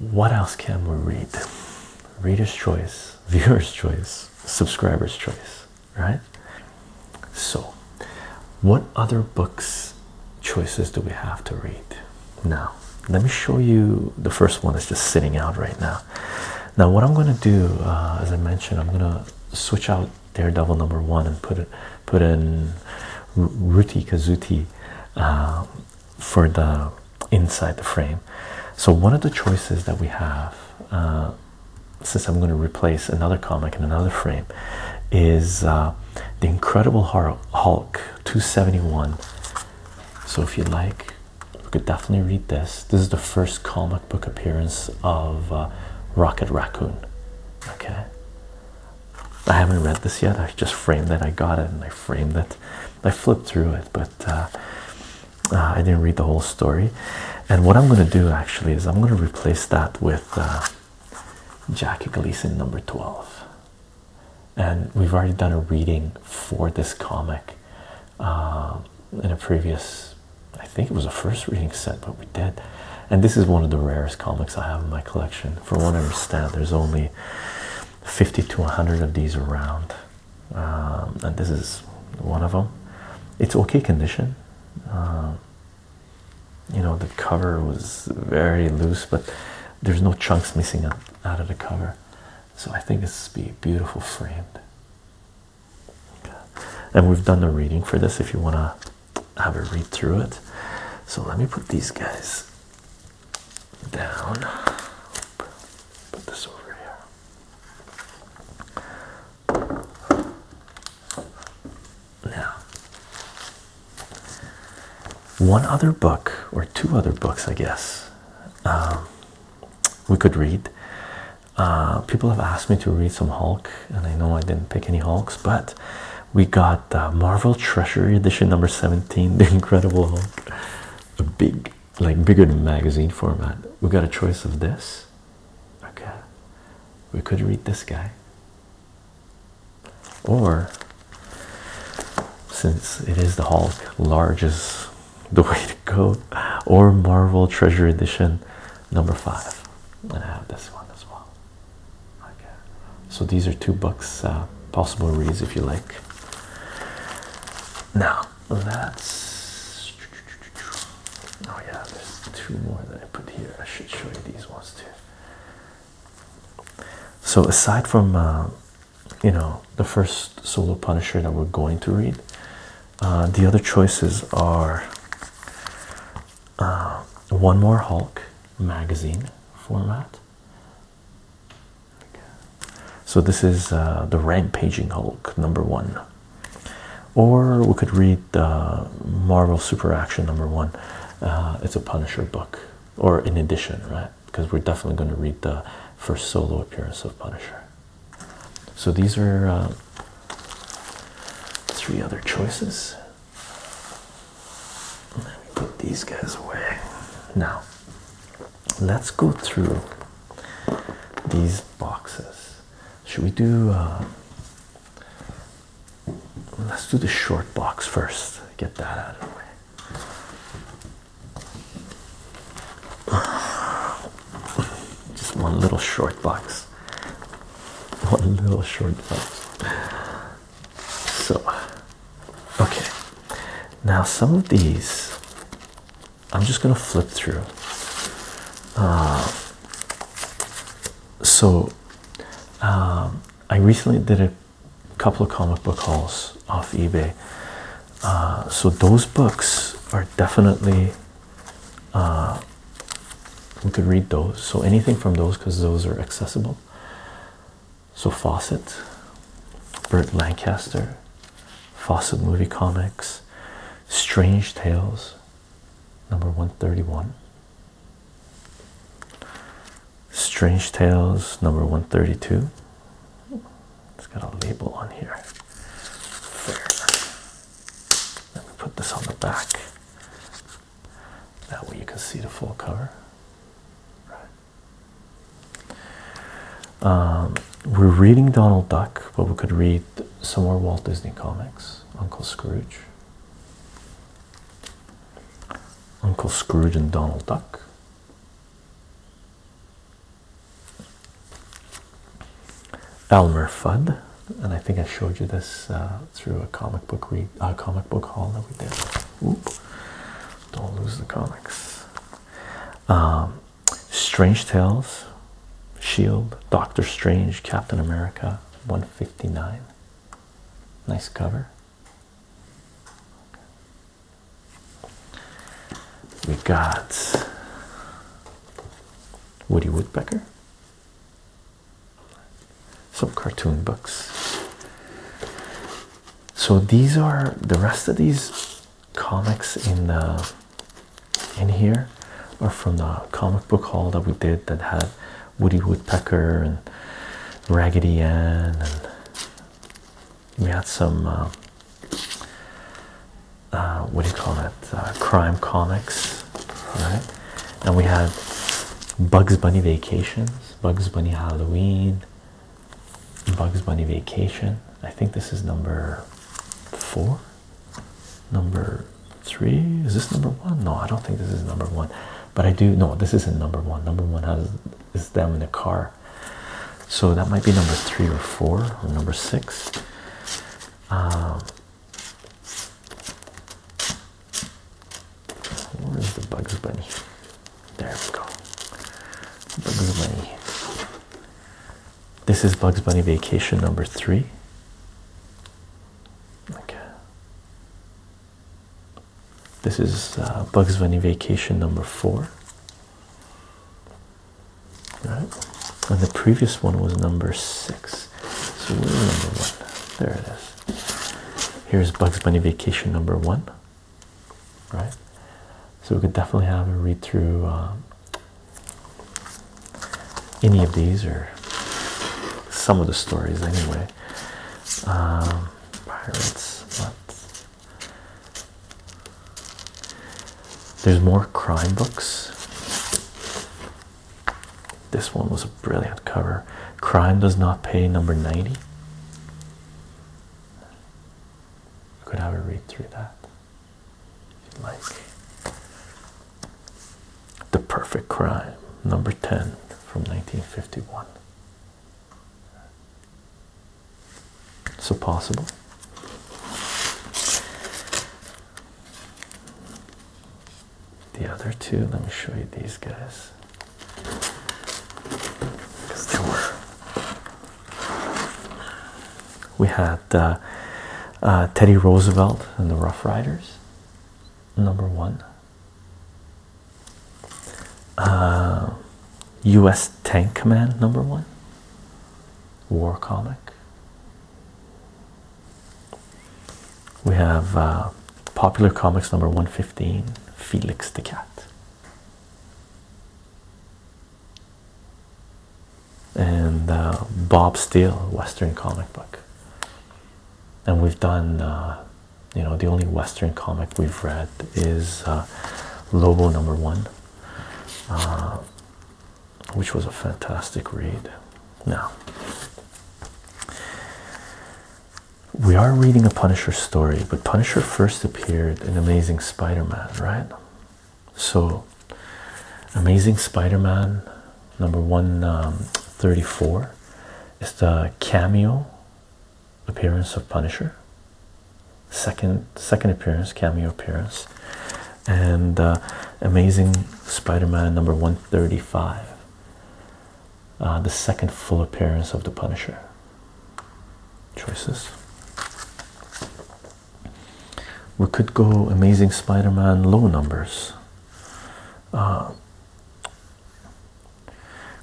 What else can we read? Reader's choice, viewer's choice, subscriber's choice, right? So, what other books choices do we have to read now? Let me show you the first one that's just sitting out right now. Now, what I'm going to do, uh, as I mentioned, I'm going to switch out Daredevil number one and put it put in Ruti Kazuti. Uh, for the inside the frame. So one of the choices that we have, uh, since I'm going to replace another comic in another frame, is uh, the Incredible Hulk 271. So if you like, we could definitely read this. This is the first comic book appearance of uh, Rocket Raccoon. Okay, I haven't read this yet. I just framed it. I got it and I framed it. I flipped through it, but uh, uh, I didn't read the whole story. And what I'm going to do actually is I'm going to replace that with uh, Jackie Gleason number 12. And we've already done a reading for this comic in a previous, I think it was a first reading set, but we did. And this is one of the rarest comics I have in my collection. For one, I understand, there's only 50 to 100 of these around um, and this is one of them it's okay condition um, you know the cover was very loose but there's no chunks missing out, of the cover so i think this be beautiful framed and we've done the reading for this if you want to have a read through it so let me put these guys down. Put this over here. Now, one other book, or two other books, I guess, um, we could read. Uh, people have asked me to read some Hulk, and I know I didn't pick any Hulks, but we got uh, Marvel Treasury Edition number 17, The Incredible Hulk, a big, like bigger than magazine format. We got a choice of this. Okay, we could read this guy, or since it is the Hulk, large is the way to go, or Marvel Treasury Edition number five. And I have this one as well. Okay. So these are two books, uh, possible reads if you like. Now let's. oh yeah, there's two more that I put here. I should show you these ones too. So aside from uh, you know the first solo Punisher that we're going to read, uh, the other choices are one more Hulk magazine format. So this is uh, the Rampaging Hulk number one, or we could read uh, Marvel Super Action number one. Uh, it's a Punisher book, or in addition, right? Because we're definitely going to read the first solo appearance of Punisher. So these are uh, three other choices. Let me put these guys away. Now, let's go through these boxes. Should we do? Uh, let's do the short box first. Get that out of the way. Just one little short box. One little short box. So, okay, now some of these I'm just gonna flip through. Uh, so, um, I recently did a couple of comic book hauls off eBay. Uh, so those books are definitely uh, we could read those. So anything from those because those are accessible. So Fawcett, Burt Lancaster, Fawcett Movie Comics, Strange Tales, number 131. Strange Tales, number 132. It's got a label on here. Fair. Let me put this on the back. That way you can see the full cover. Right. Um, we're reading Donald Duck, but we could read some more Walt Disney comics. Uncle Scrooge, Uncle Scrooge, and Donald Duck. Elmer Fudd, and I think I showed you this uh, through a comic book read, a comic book haul that we did. Don't lose the comics. Um, Strange Tales, Shield, Doctor Strange, Captain America, 159. Nice cover. We got Woody Woodpecker. Some cartoon books so these are the rest of these comics in in here are from the comic book haul that we did that had Woody Woodpecker and Raggedy Ann and we had some uh, uh, what do you call it uh, crime comics right and we had Bugs Bunny Vacations Bugs Bunny Halloween Bugs Bunny Vacation. I think this is number four. Number three. Is this number one? No, I don't think this is number one. But I do no, this isn't number one. Number one has is them in the car. So that might be number three or four or number six. Um, where is the Bugs Bunny? There we go. Bugs Bunny. This is Bugs Bunny Vacation number three. Okay. This is uh, Bugs Bunny Vacation number four. All right. And the previous one was number six. So we're number one. There it is. Here's Bugs Bunny Vacation number one right? So we could definitely have a read through um, any of these or some of the stories anyway. Um, pirates, what? There's more crime books. This one was a brilliant cover. Crime does not pay number 90. You could have a read through that if you'd like. The Perfect Crime, number 10 from 1951. So possible. The other two, let me show you these guys because we had uh, uh, Teddy Roosevelt and the Rough Riders, number one. U.S. Uh, Tank Command, number one. War comic. We have Popular Comics, number 115, Felix the Cat and uh, Bob Steele Western comic book. And we've done, uh, you know, the only Western comic we've read is uh, Lobo number one, which was a fantastic read. Now, we are reading a Punisher story, but Punisher first appeared. An Amazing Spider Man, right? So, Amazing Spider Man number 134 um, is the cameo appearance of Punisher, second, second appearance, cameo appearance, and uh, Amazing Spider Man number 135. Uh, the second full appearance of the Punisher, choices. We could go Amazing Spider Man low numbers. Uh,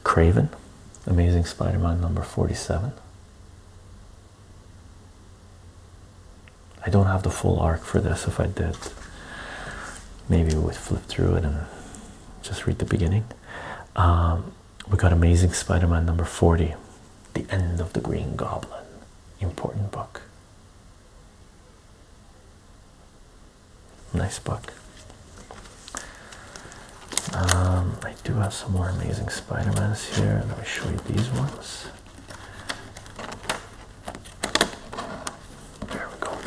Craven, Amazing Spider Man number 47. I don't have the full arc for this. If I did, maybe we would flip through it and just read the beginning. Um, we got Amazing Spider Man number 40, The End of the Green Goblin. Important book. Nice book. Um, I do have some more Amazing Spider Mans here. Let me show you these ones. There we go.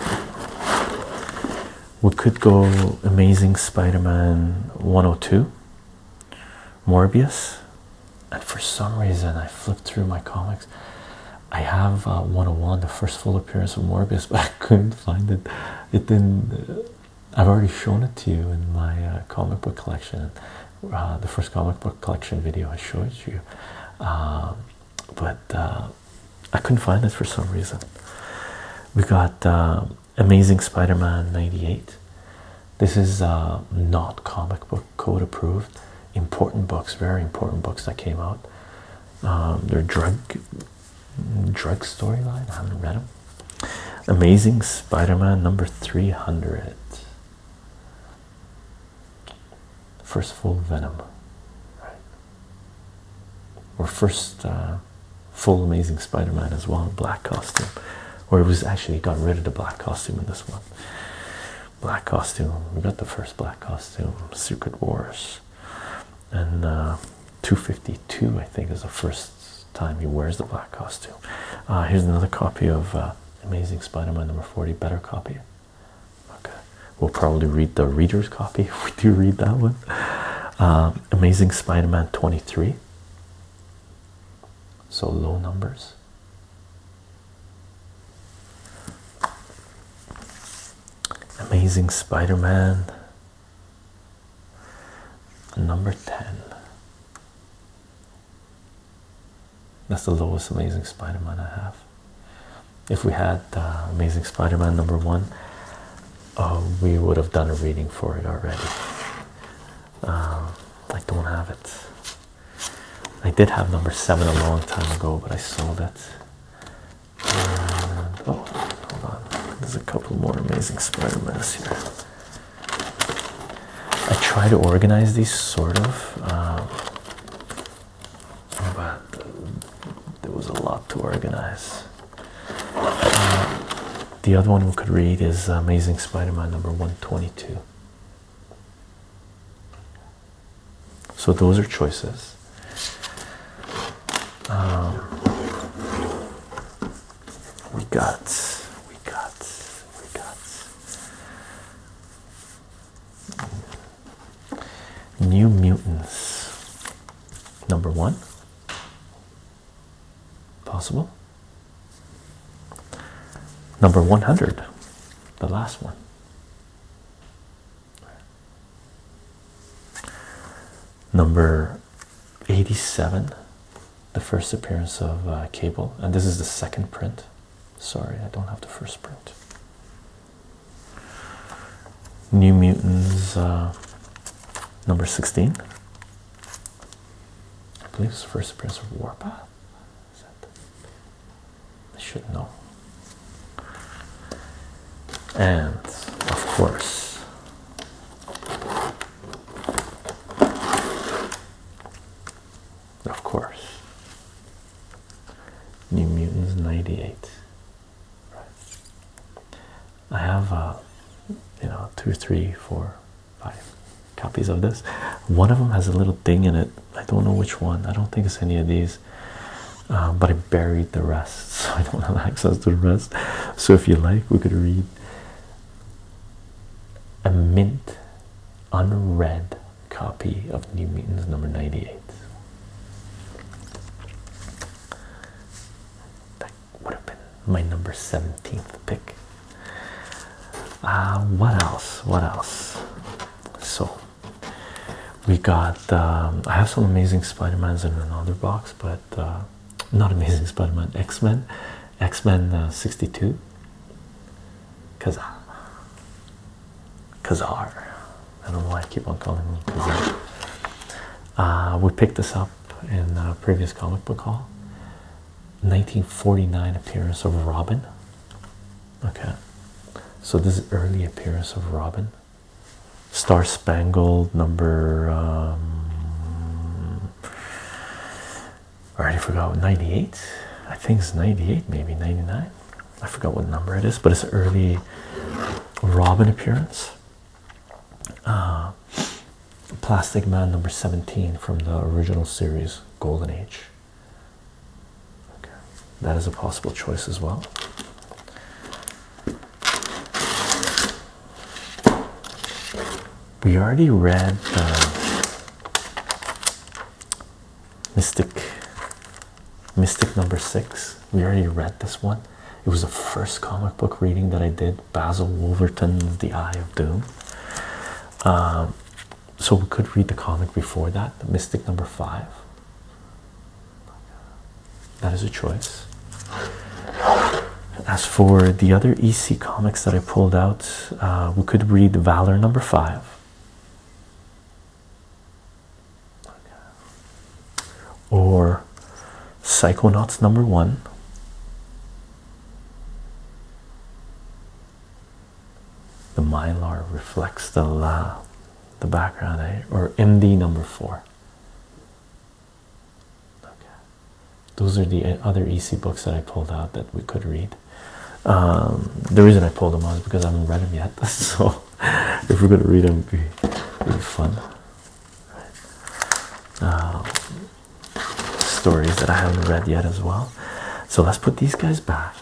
We could go Amazing Spider Man 102. Morbius, and for some reason I flipped through my comics. I have uh, 101, the first full appearance of Morbius, but I couldn't find it. It didn't. Uh, I've already shown it to you in my uh, comic book collection, uh, the first comic book collection video I showed you, um, but I couldn't find it for some reason. We got. Um, Amazing Spider Man 98. This is uh, not comic book code approved. Important books, very important books that came out. Um, they're drug, drug storyline. I haven't read them. Amazing Spider Man number 300. First full Venom. Right. Or first uh, full Amazing Spider-Man as well, black costume. Where he was actually got rid of the black costume in this one. Black costume. We got the first black costume, Secret Wars, and uh, 252. I think is the first time he wears the black costume. Uh, here's another copy of uh, Amazing Spider-Man number 40. Better copy. Okay, we'll probably read the reader's copy if we do read that one. Amazing Spider-Man 23. So low numbers. Amazing Spider Man. Number 10. That's the lowest Amazing Spider Man I have. If we had uh, Amazing Spider Man number one, uh, we would have done a reading for it already. Um, I don't have it. I did have number seven a long time ago, but I sold it. oh, hold on. There's a couple more amazing Spider-Mans here. I try to organize these sort of, um, but there was a lot to organize the other one we could read is Amazing Spider-Man number 122. So those are choices. Um, we got, we got, we got New Mutants number one, Possible? Number 100, the last one. Number 87, the first appearance of uh, Cable, and this is the second print. Sorry, I don't have the first print. New Mutants, uh, number 16. I believe it's First Prince of Warpath. Is that? I should know. And of course, of course, New Mutants '98. Right. I have, uh, you know, two, three, four, five copies of this. One of them has a little thing in it. I don't know which one. I don't think it's any of these. Uh, but I buried the rest, so I don't have access to the rest. So if you like, we could read a mint unread copy of New Mutants number 98 would have been my number 17th pick. Uh, what else? What else? So we got. Um, I have some amazing Spider Mans in another box, but uh, not amazing Spider Man. X Men, X Men uh, 62. Kazar, Kazar. I don't know why I keep on calling him Kazar. Uh, we picked this up in a previous comic book Hall. 1949 appearance of Robin. Okay, so this is early appearance of Robin. Star Spangled number. Um, I already forgot. 98. I think it's 98, maybe 99. I forgot what number it is, but it's early Robin appearance. Uh, Plastic Man number 17 from the original series Golden Age. Okay, that is a possible choice as well. We already read Mystic Mystic number six. We already read this one. It was the first comic book reading that I did Basil Wolverton's The Eye of Doom. Um, so we could read the comic before that, Mystic number five. That is a choice. As for the other EC comics that I pulled out, uh, we could read Valor number five. Or Psychonauts number one, the mylar reflects the la, the background, eh? or MD number four. Okay, those are the eh, other EC books that I pulled out that we could read. Um, the reason I pulled them out is because I haven't read them yet. So if we're gonna read them, it'd be, fun. Um, stories that I haven't read yet as well. So let's put these guys back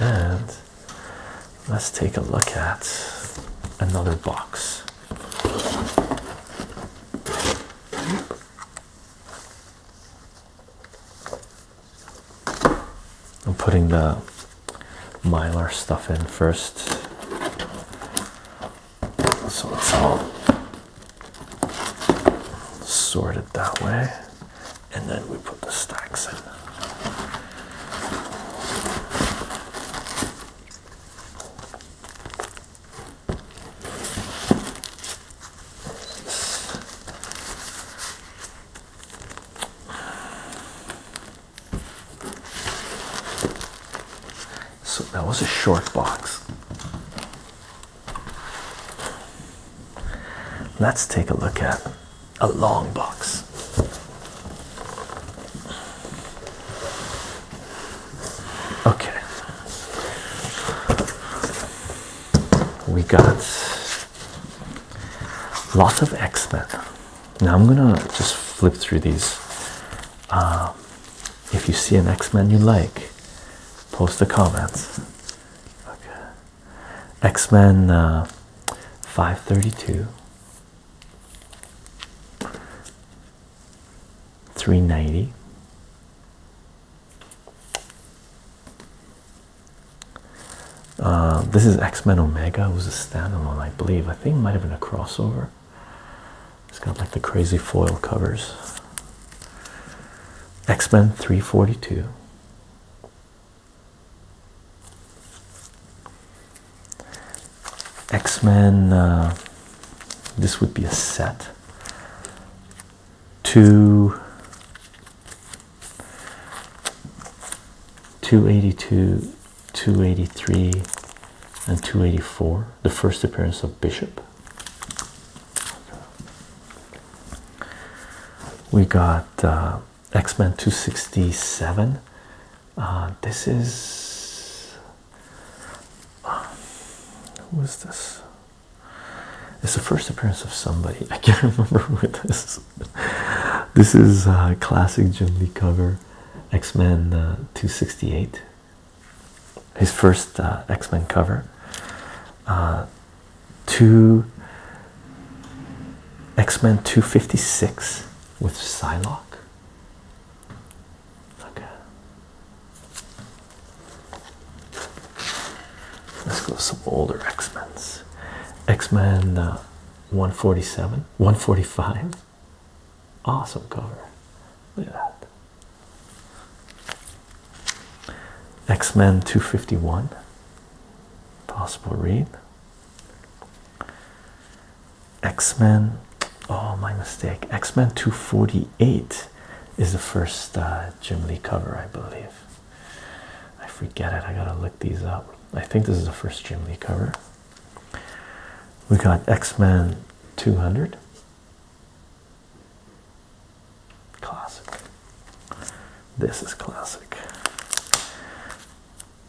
and let's take a look at another box. I'm putting the mylar stuff in first. So it's all sorted that way, and then we put the stacks in. So that was a short box. Let's take a look at a long box. Okay, we got lots of X Men. Now I'm gonna just flip through these. Um, if you see an X Men you like, Post the comments. Okay. X Men uh, 532. 390. Uh, this is X Men Omega, it was a standalone, I believe. I think it might have been a crossover. It's got like the crazy foil covers. X Men 342. X Men, uh, this would be a set. Two. 282, 283, and 284 the first appearance of Bishop. We got uh, X Men 267. Uh, this is. Uh, who is this? It's the first appearance of somebody. I can't remember who this is. This is a classic Jim Lee cover X Men 268 his first uh, X Men cover, uh, two X Men 256 with Psylocke. Okay. Let's go some older X Men's. X Men uh, 147, 145. Awesome cover. Look at that. X Men 251, possible read. X Men, oh, my mistake. X Men 248 is the first uh, Jim Lee cover, I believe. I forget it, I gotta look these up. I think this is the first Jim Lee cover. We got X Men 200. Classic. This is classic.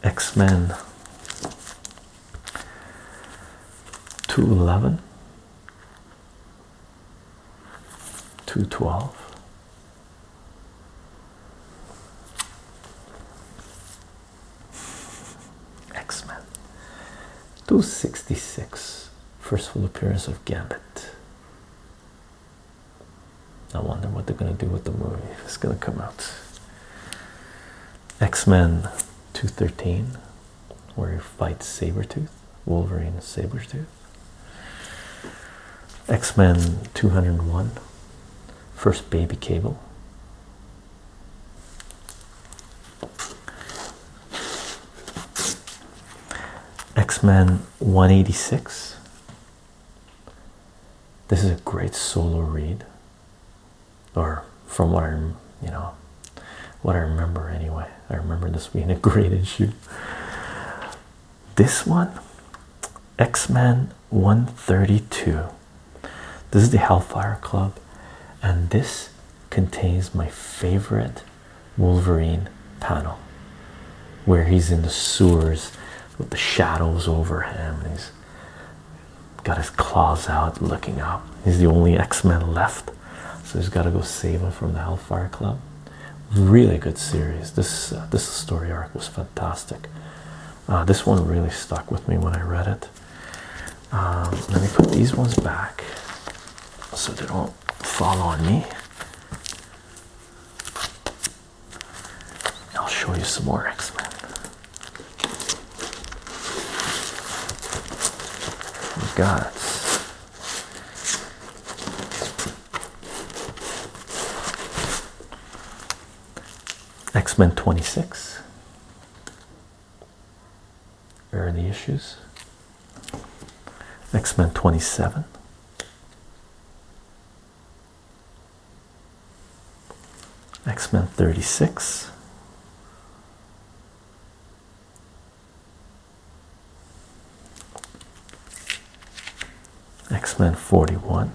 X Men 211, 212. X Men 266 First full appearance of Gambit. I wonder what they're gonna do with the movie. It's gonna come out. X-Men 213, where he fights Sabretooth, Wolverine and Sabretooth. X-Men 201, first baby cable. X Men 186. This is a great solo read, or from what i you know, what I remember anyway. I remember this being a great issue. This one, X Men 132. This is the Hellfire Club, and this contains my favorite Wolverine panel where he's in the sewers with the shadows over him. And he's got his claws out looking up. He's the only x man left. So he's got to go save him from the Hellfire Club. Really good series. This uh, this story arc was fantastic. Uh, this one really stuck with me when I read it. Um, let me put these ones back so they don't do fall on me. I'll show you some more X Men. God, X Men 26, here are the issues. X Men 27. X Men 36. X Men 41.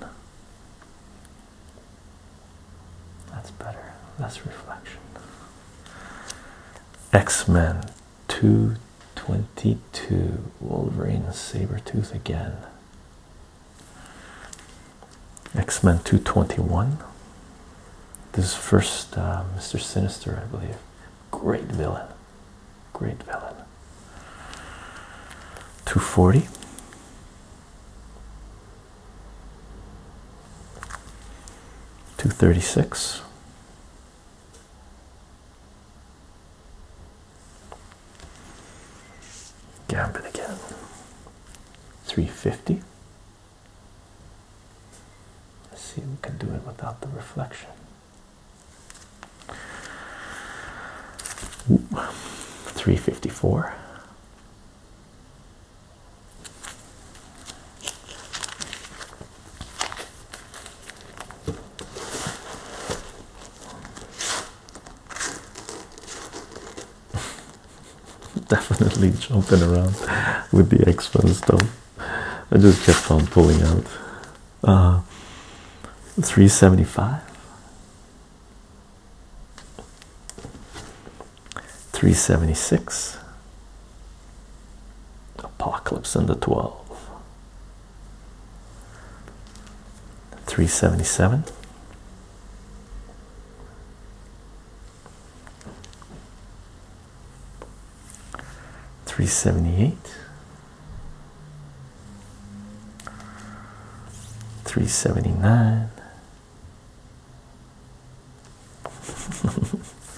That's better. Less reflection. X Men 222 Wolverine and Tooth again. X Men 221. This first uh, Mr. Sinister, I believe. Great villain. Great villain. 240. Two thirty six, Gambit again. 350. Let's see if we can do it without the reflection. 354. Definitely jumping around with the X-Men stuff. I just kept on pulling out. Uh, 375. 376 Apocalypse and the 12. 377. Three seventy eight, three seventy nine,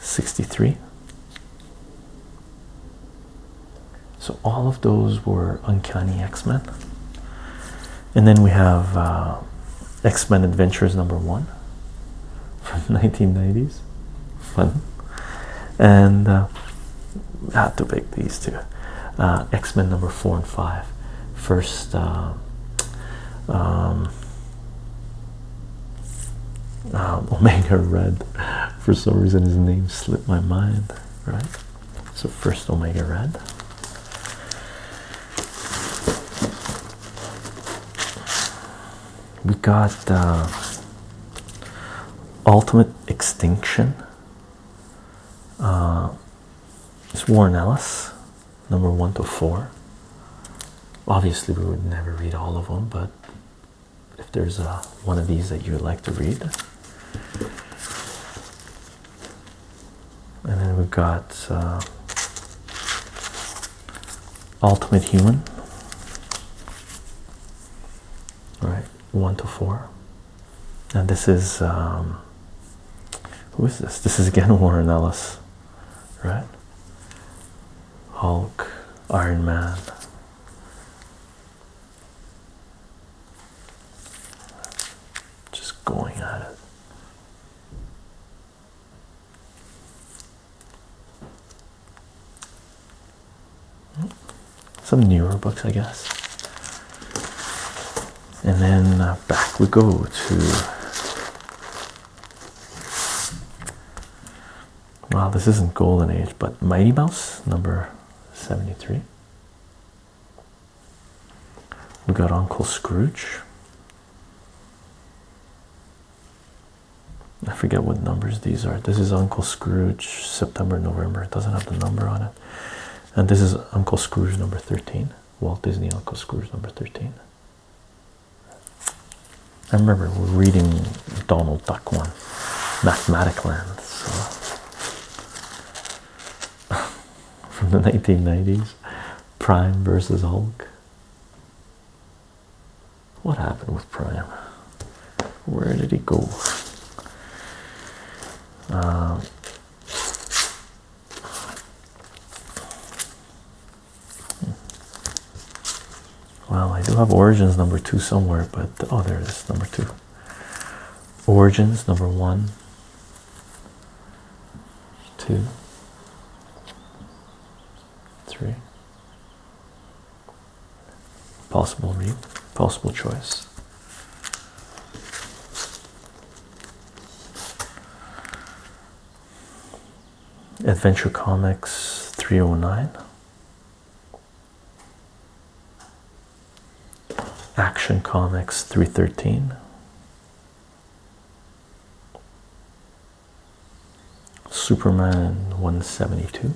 63 so all of those were uncanny x-men and then we have uh, x-men adventures number one from 1990s fun and uh, I had to pick these two uh, x-men number four and five first uh, um, Ah, Omega Red, for some reason, his name slipped my mind, right? So, first Omega Red. We got uh, Ultimate Extinction. Uh, it's Warren Ellis number one to four. Obviously, we would never read all of them, but if there's a, one of these that you would like to read, and then we've got uh, Ultimate Human, all right? One to four. And this is um, who is this? This is again Warren Ellis right? Hulk, Iron Man. Just going at it. Some newer books, I guess. And then uh, back we go to Wow, this isn't golden age, but Mighty Mouse number 73. We got Uncle Scrooge. I forget what numbers these are. This is Uncle Scrooge, September, November. It doesn't have the number on it. And this is Uncle Scrooge number 13. Walt Disney Uncle Scrooge number 13. I remember reading Donald Duck one, Mathematicland, from the 1990s, Prime versus Hulk. What happened with Prime? Where did he go? Um, well, I do have origins number two somewhere, but oh, there it is, number two. Origins number one, two, three. Possible read, possible choice. Adventure Comics 309. Action Comics 313. Superman 172.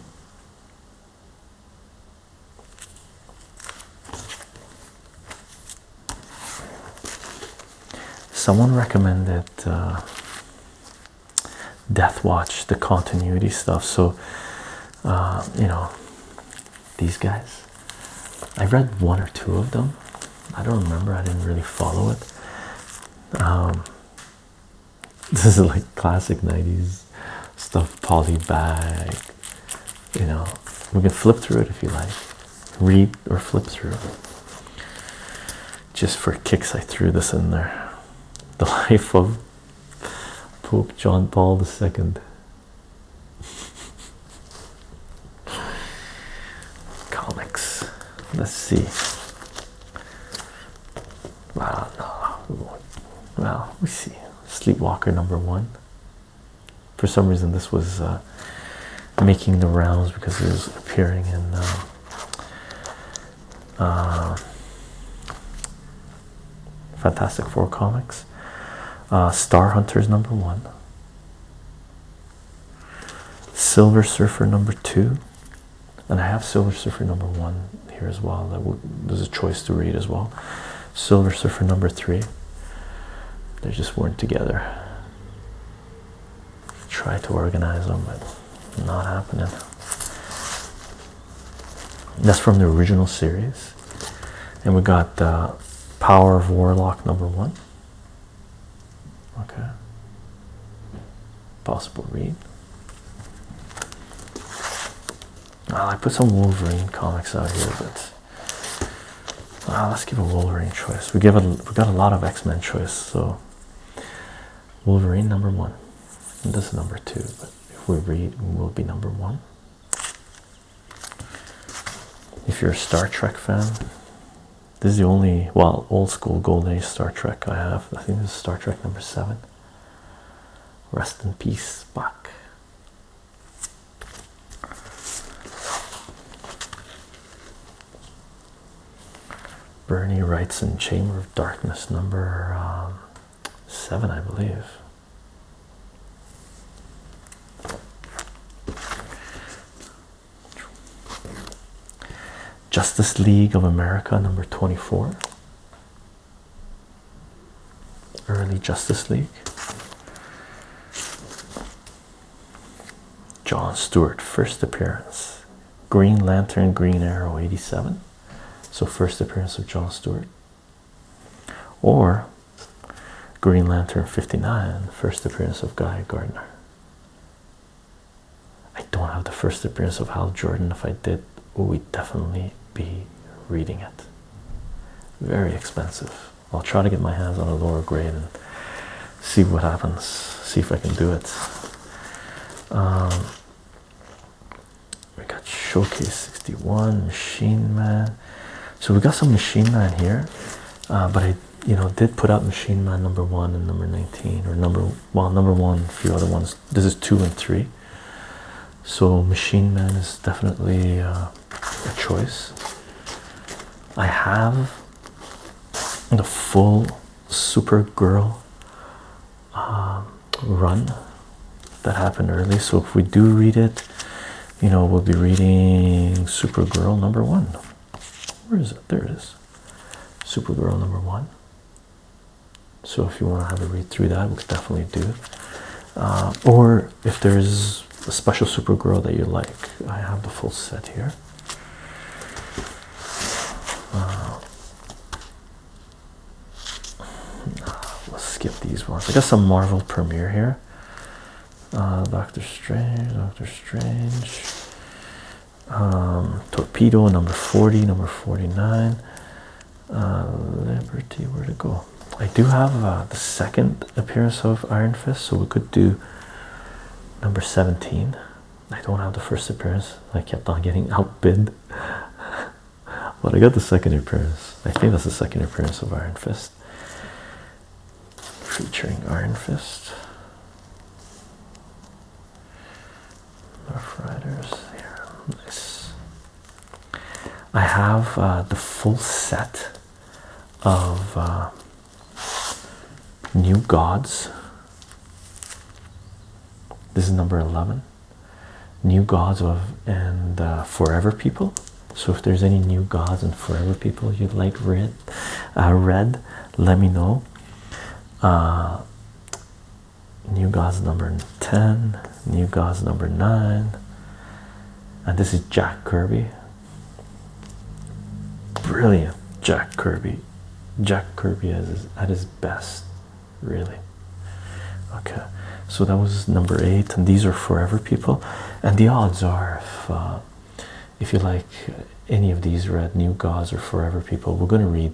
Someone recommended uh, Death Watch, the continuity stuff. So, uh, you know, these guys. I read one or two of them. I don't remember. I didn't really follow it. Um, this is like classic 90s stuff, poly bag. You know, we can flip through it if you like read or flip through. Just for kicks, I threw this in there. The life of Pope John Paul II. Comics. Let's see. Well, no. Well, we see. Sleepwalker number one. For some reason, this was. Uh, uh, making the rounds because it was appearing in um, uh, Fantastic Four comics. Uh, Star Hunters number one, Silver Surfer number two, and I have Silver Surfer number one here as well. there's a choice to read as well. Silver Surfer number three. They just weren't together try to organize them, but not happening. That's from the original series. And we got uh, Power of Warlock number one. Okay. Possible read. Ah, I put some Wolverine comics out here, but ah, let's give a Wolverine choice. We give a we got a lot of X Men choice, so Wolverine number one. this is number two, but if we read, we will be number one. If you're a Star Trek fan, this is the only well old school gold age Star Trek I have. I think this is Star Trek number seven. Rest in peace, Spock. Bernie writes in Chamber of Darkness number um, seven, I believe. Justice League of America number 24. Early Justice League. John Stewart, first appearance. Green Lantern, Green Arrow, 87. So, first appearance of John Stewart. Or Green Lantern 59, first appearance of Guy Gardner. I don't have the first appearance of Hal Jordan. If I did, we'd definitely be reading it. Very expensive. I'll try to get my hands on a lower grade and see what happens, see if I can do it. Um, we got Showcase 61, Machine Man. So we got some Machine Man here, uh, but I, you know, did put out Machine Man number one and number 19, or number well, number one, a few other ones. This is two and three. So Machine Man is definitely uh, a choice. I have the full Supergirl um, run that happened early. So if we do read it, you know, we'll be reading Supergirl number one. Where is it? There it is. Supergirl number one. So if you want to have a read through that, we could definitely do it. Uh, or if there's a special Supergirl that you like, I have the full set here let's skip these ones. I got some Marvel premiere here. Uh, Doctor Strange, Doctor Strange, um, Torpedo number 40, number 49. Uh, Liberty, where to go? I do have uh, the second appearance of Iron Fist, so we could do number 17. I don't have the first appearance. I kept on getting outbid. but I got the second appearance. I think that's the second appearance of Iron Fist. Featuring Iron Fist. Rough Riders here. nice. I have uh, the full set of uh, New Gods. This is number 11. New Gods of and uh, Forever People. So if there's any new gods and forever people you'd like read, uh, read, let me know. Uh, new gods number 10, new gods number 9. And this is Jack Kirby. Brilliant Jack Kirby Jack Kirby is at his best, really. Okay, so that was number eight, and these are forever people. And the odds are, if, uh, if you like any of these Red New Gods or Forever People, we're going to read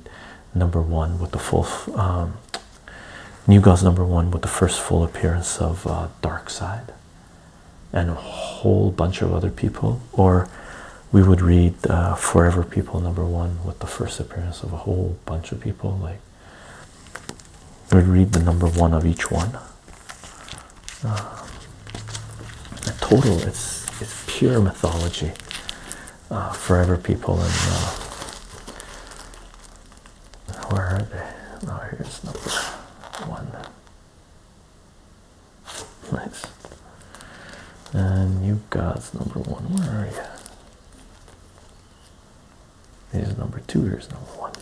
number one with the full um, New Gods number one with the first full appearance of uh, Dark Side and a whole bunch of other people, or we would read uh, Forever People number one with the first appearance of a whole bunch of people. Like, we'd read the number one of each one. Uh, total, it's it's pure mythology. Uh, forever People and uh, where are they? Oh, here's number one. Nice. And New Gods number one. Where are you? Here's number two. Here's number one.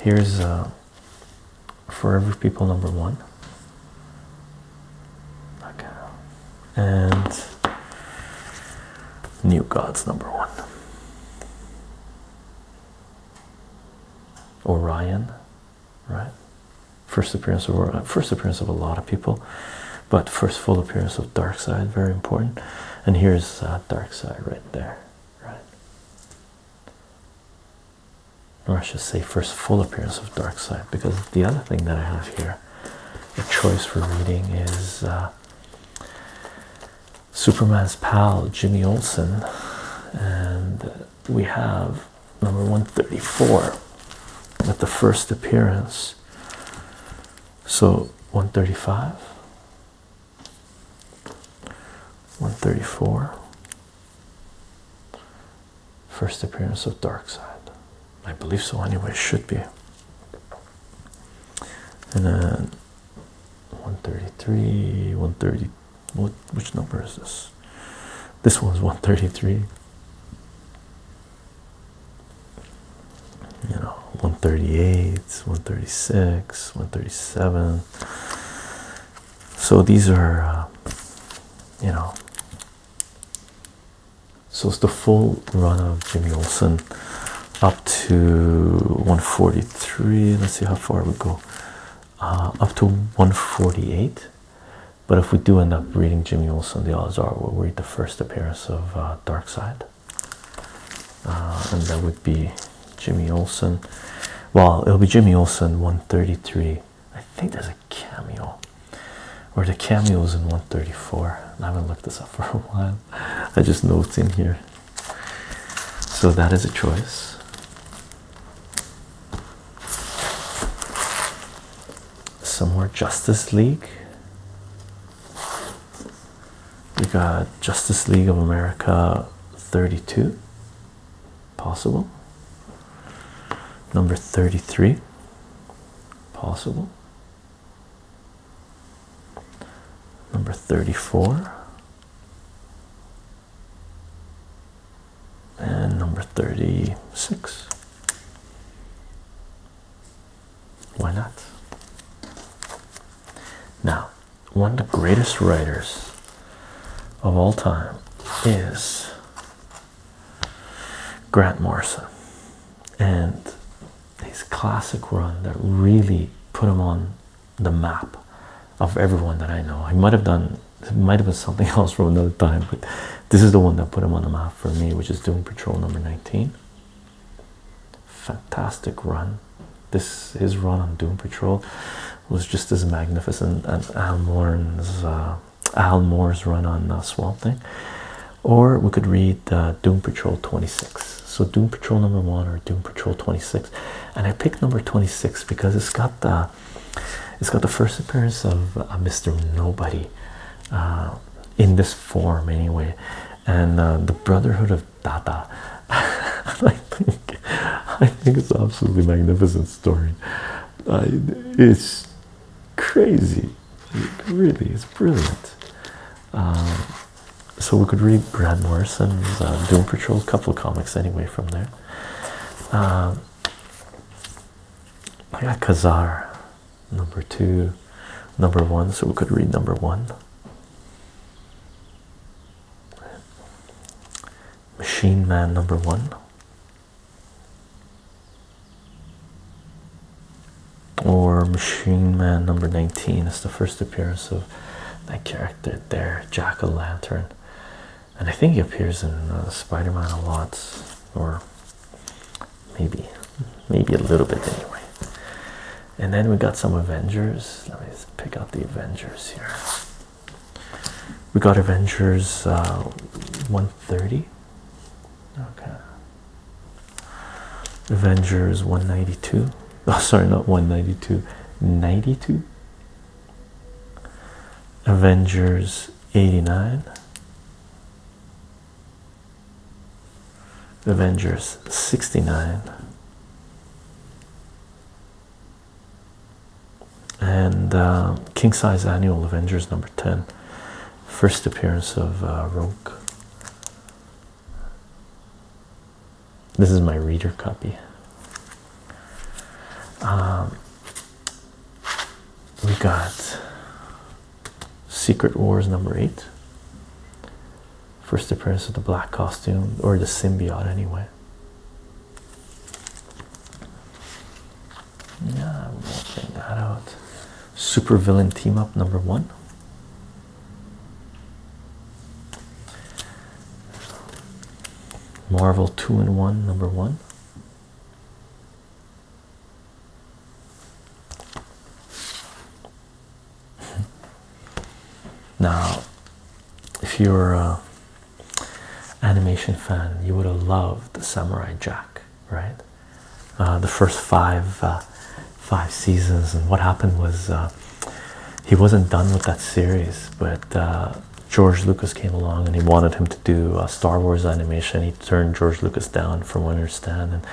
Here's uh, Forever People number one. Okay. And New Gods number one. Orion right? First appearance of first appearance of a lot of people, but first full appearance of Dark Side, very important. And here's Dark Side right there, right? Or I should say first full appearance of Dark Side, because the other thing that I have here, a choice for reading is. Uh, Superman's pal Jimmy Olsen and we have number 134 with the first appearance. So 135, 134, first appearance of Dark Side. I believe so, anyway, should be. And then 133, 130, what, which number is this? This one's one thirty three. You know, one thirty eight, one thirty six, one thirty seven. So these are, uh, you know. So it's the full run of Jimmy Olsen up to 143. Let's see how far we go. Uh, up to 148. But if we do end up reading Jimmy Olsen, the odds are we'll read the first appearance of uh, Dark Side, uh, and that would be Jimmy Olsen. Well, it'll be Jimmy Olsen 133. I think there's a cameo, or the cameo is in 134. I haven't looked this up for a while. I just know it's in here. So that is a choice. Somewhere, Justice League. We got Justice League of America 32, possible. Number 33, possible. Number 34 and number 36. Why not? Now, one of the greatest writers of all time is Grant Morrison, and his classic run that really put him on the map of everyone that I know. I might have done it might have been something else from another time, but this is the one that put him on the map for me, which is Doom Patrol number 19. Fantastic run. This his run on Doom Patrol was just as magnificent as Al Moore's, uh, Al Moore's run on uh, Swamp Thing. Or we could read uh, Doom Patrol 26. So Doom Patrol number one or Doom Patrol 26, and I picked number 26 because it's got the uh, it's got the first appearance of uh, Mr. Nobody uh, in this form, anyway, and uh, the Brotherhood of Dada. I think I think it's absolutely magnificent story. it's crazy, it really. It's brilliant. Um, so we could read Brad Morrison's Doom Patrol couple comics anyway from there. Um, I got Kazar, number two, number one, so we could read number one. Machine Man number one. Or Machine Man number 19 is the first appearance of that character there, Jack o' Lantern. And I think he appears in uh, Spider Man a lot, or maybe maybe a little bit anyway and then we got some avengers let me pick out the avengers here we got avengers uh, 130 okay avengers 192 oh sorry not 192 92 Avengers 89 Avengers 69 and uh, King Size Annual Avengers number 10 first appearance of uh, Rogue this is my reader copy um, we got Secret Wars number eight. First appearance of the black costume, or the symbiote, anyway. Yeah, I'm working that out. Super villain team up number one. Marvel two and one number one. Now, if you're an animation fan, you would have loved Samurai Jack, right? Uh, the first five uh, five seasons, and what happened was uh, he wasn't done with that series, but George Lucas came along and he wanted him to do a Star Wars animation he turned George Lucas down, from what I understand. And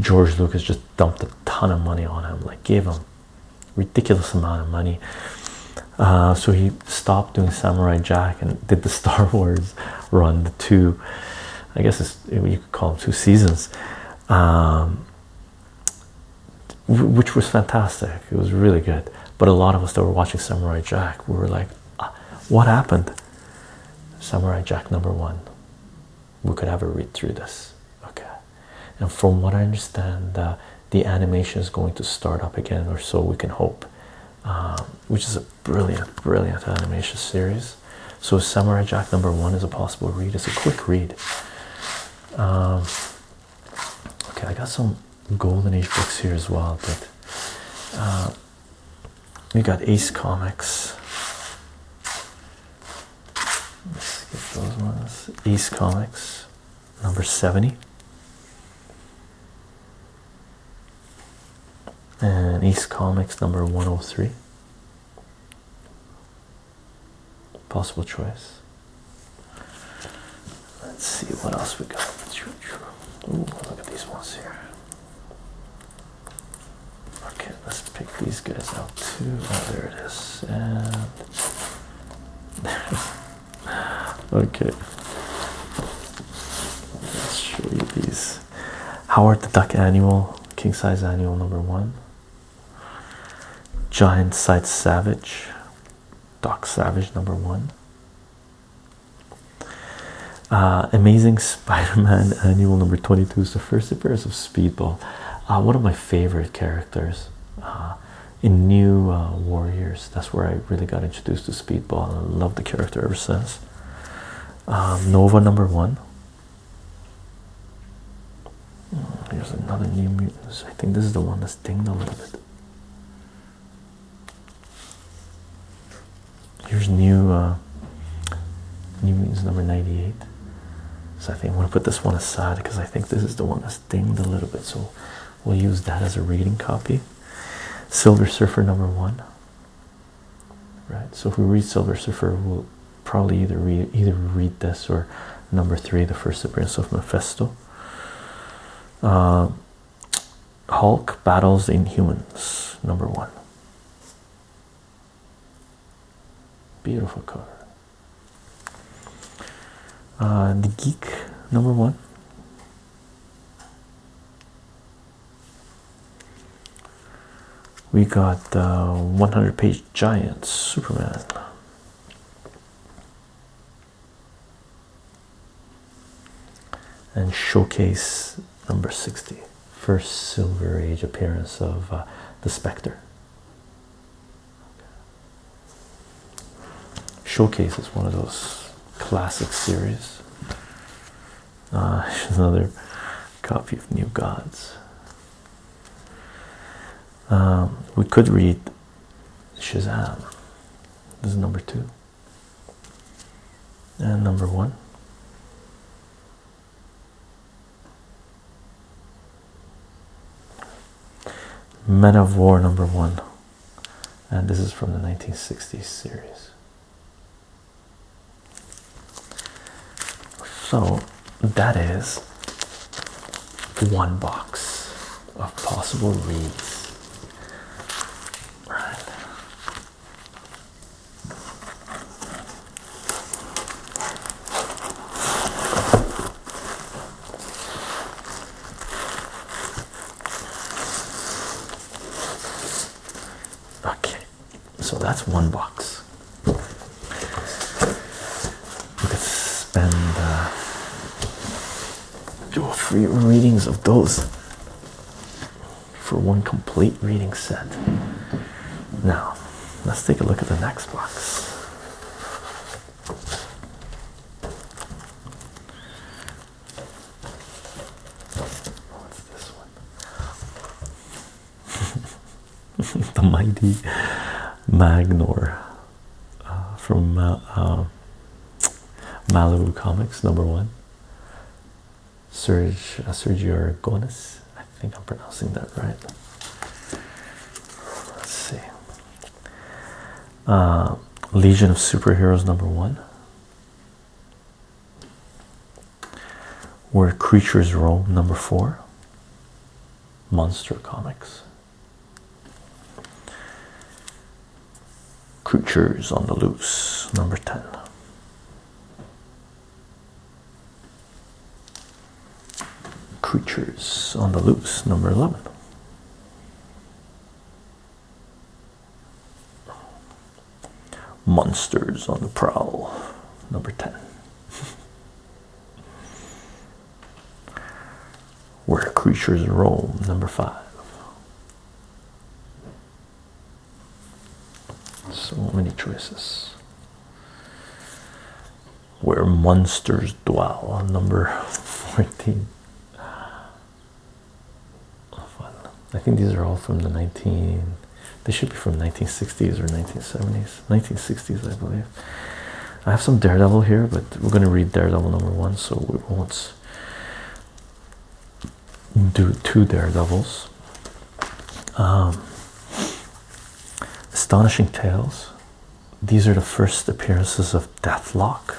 George Lucas just dumped a ton of money on him, like gave him ridiculous amount of money. Uh, so he stopped doing Samurai Jack and did the Star Wars run, the two, I guess you could call them two seasons, um, which was fantastic. It was really good. But a lot of us that were watching Samurai Jack, we were like, uh, what happened? Samurai Jack number one. We could have a read through this, okay? And from what I understand, uh, the animation is going to start up again, or so we can hope, um, which is a brilliant, brilliant animation series. So, Samurai Jack number one is a possible read, it's a quick read. Um, okay, I got some Golden Age books here as well, but uh, we got Ace Comics. Let's get those ones. Ace Comics, number 70. And Ace Comics, number 103. Possible choice. Let's see what else we got. Ooh, look at these ones here. Okay, let's pick these guys out too. Oh, there it is. And okay, let's show you these. Howard the Duck Annual, King Size Annual number one. Giant Sight Savage, Doc Savage number one. Uh, Amazing Spider-Man uh, Annual Number Twenty Two is the first appearance of Speedball, uh, one of my favorite characters in New Warriors. That's where I really got introduced to Speedball, and I love the character ever since. Um, Nova Number One. Hmm, Here's another New Mutants. I think this is the one that's dinged a little bit. Here's new new mutants number 98. So I think I'm gonna put this one aside because I think this is the one that's dinged a little bit. So we'll use that as a reading copy. Silver Surfer number one. Right. So if we read Silver Surfer, we'll probably either read either read this or number three, the first appearance of Mephisto. Hulk battles Inhumans, number one. Beautiful cover. Uh, the Geek, number one. We got uh, 100 page giant Superman. And showcase number 60 first Silver Age appearance of uh, the Spectre. Showcase is one of those classic series. Uh, another copy of New Gods. Um, we could read Shazam. This is number two and number one. Men of War number one, and this is from the 1960s series. So that is one box of possible reads. Right. Okay, so that's one box. We could spend uh, do free readings of those for one complete reading set. Now, let's take a look at the next box. What's this one? the mighty Magnor uh, from uh, uh, Malibu Comics, number one. Serge uh, Sergio Aragonis. I think I'm pronouncing that right. Let's see. Uh, Legion of Superheroes number one. Where Creatures Roam number four. Monster Comics. Creatures on the Loose number 10. Creatures on the Loose, number 11. Monsters on the Prowl, number 10. Where Creatures Roam, number 5. So many choices. Where monsters dwell on number 14. I think these are all from the 19 they should be from 1960s or 1970s 1960s I believe I have some Daredevil here but we're gonna read Daredevil number one so we won't do two daredevils um, astonishing tales these are the first appearances of deathlock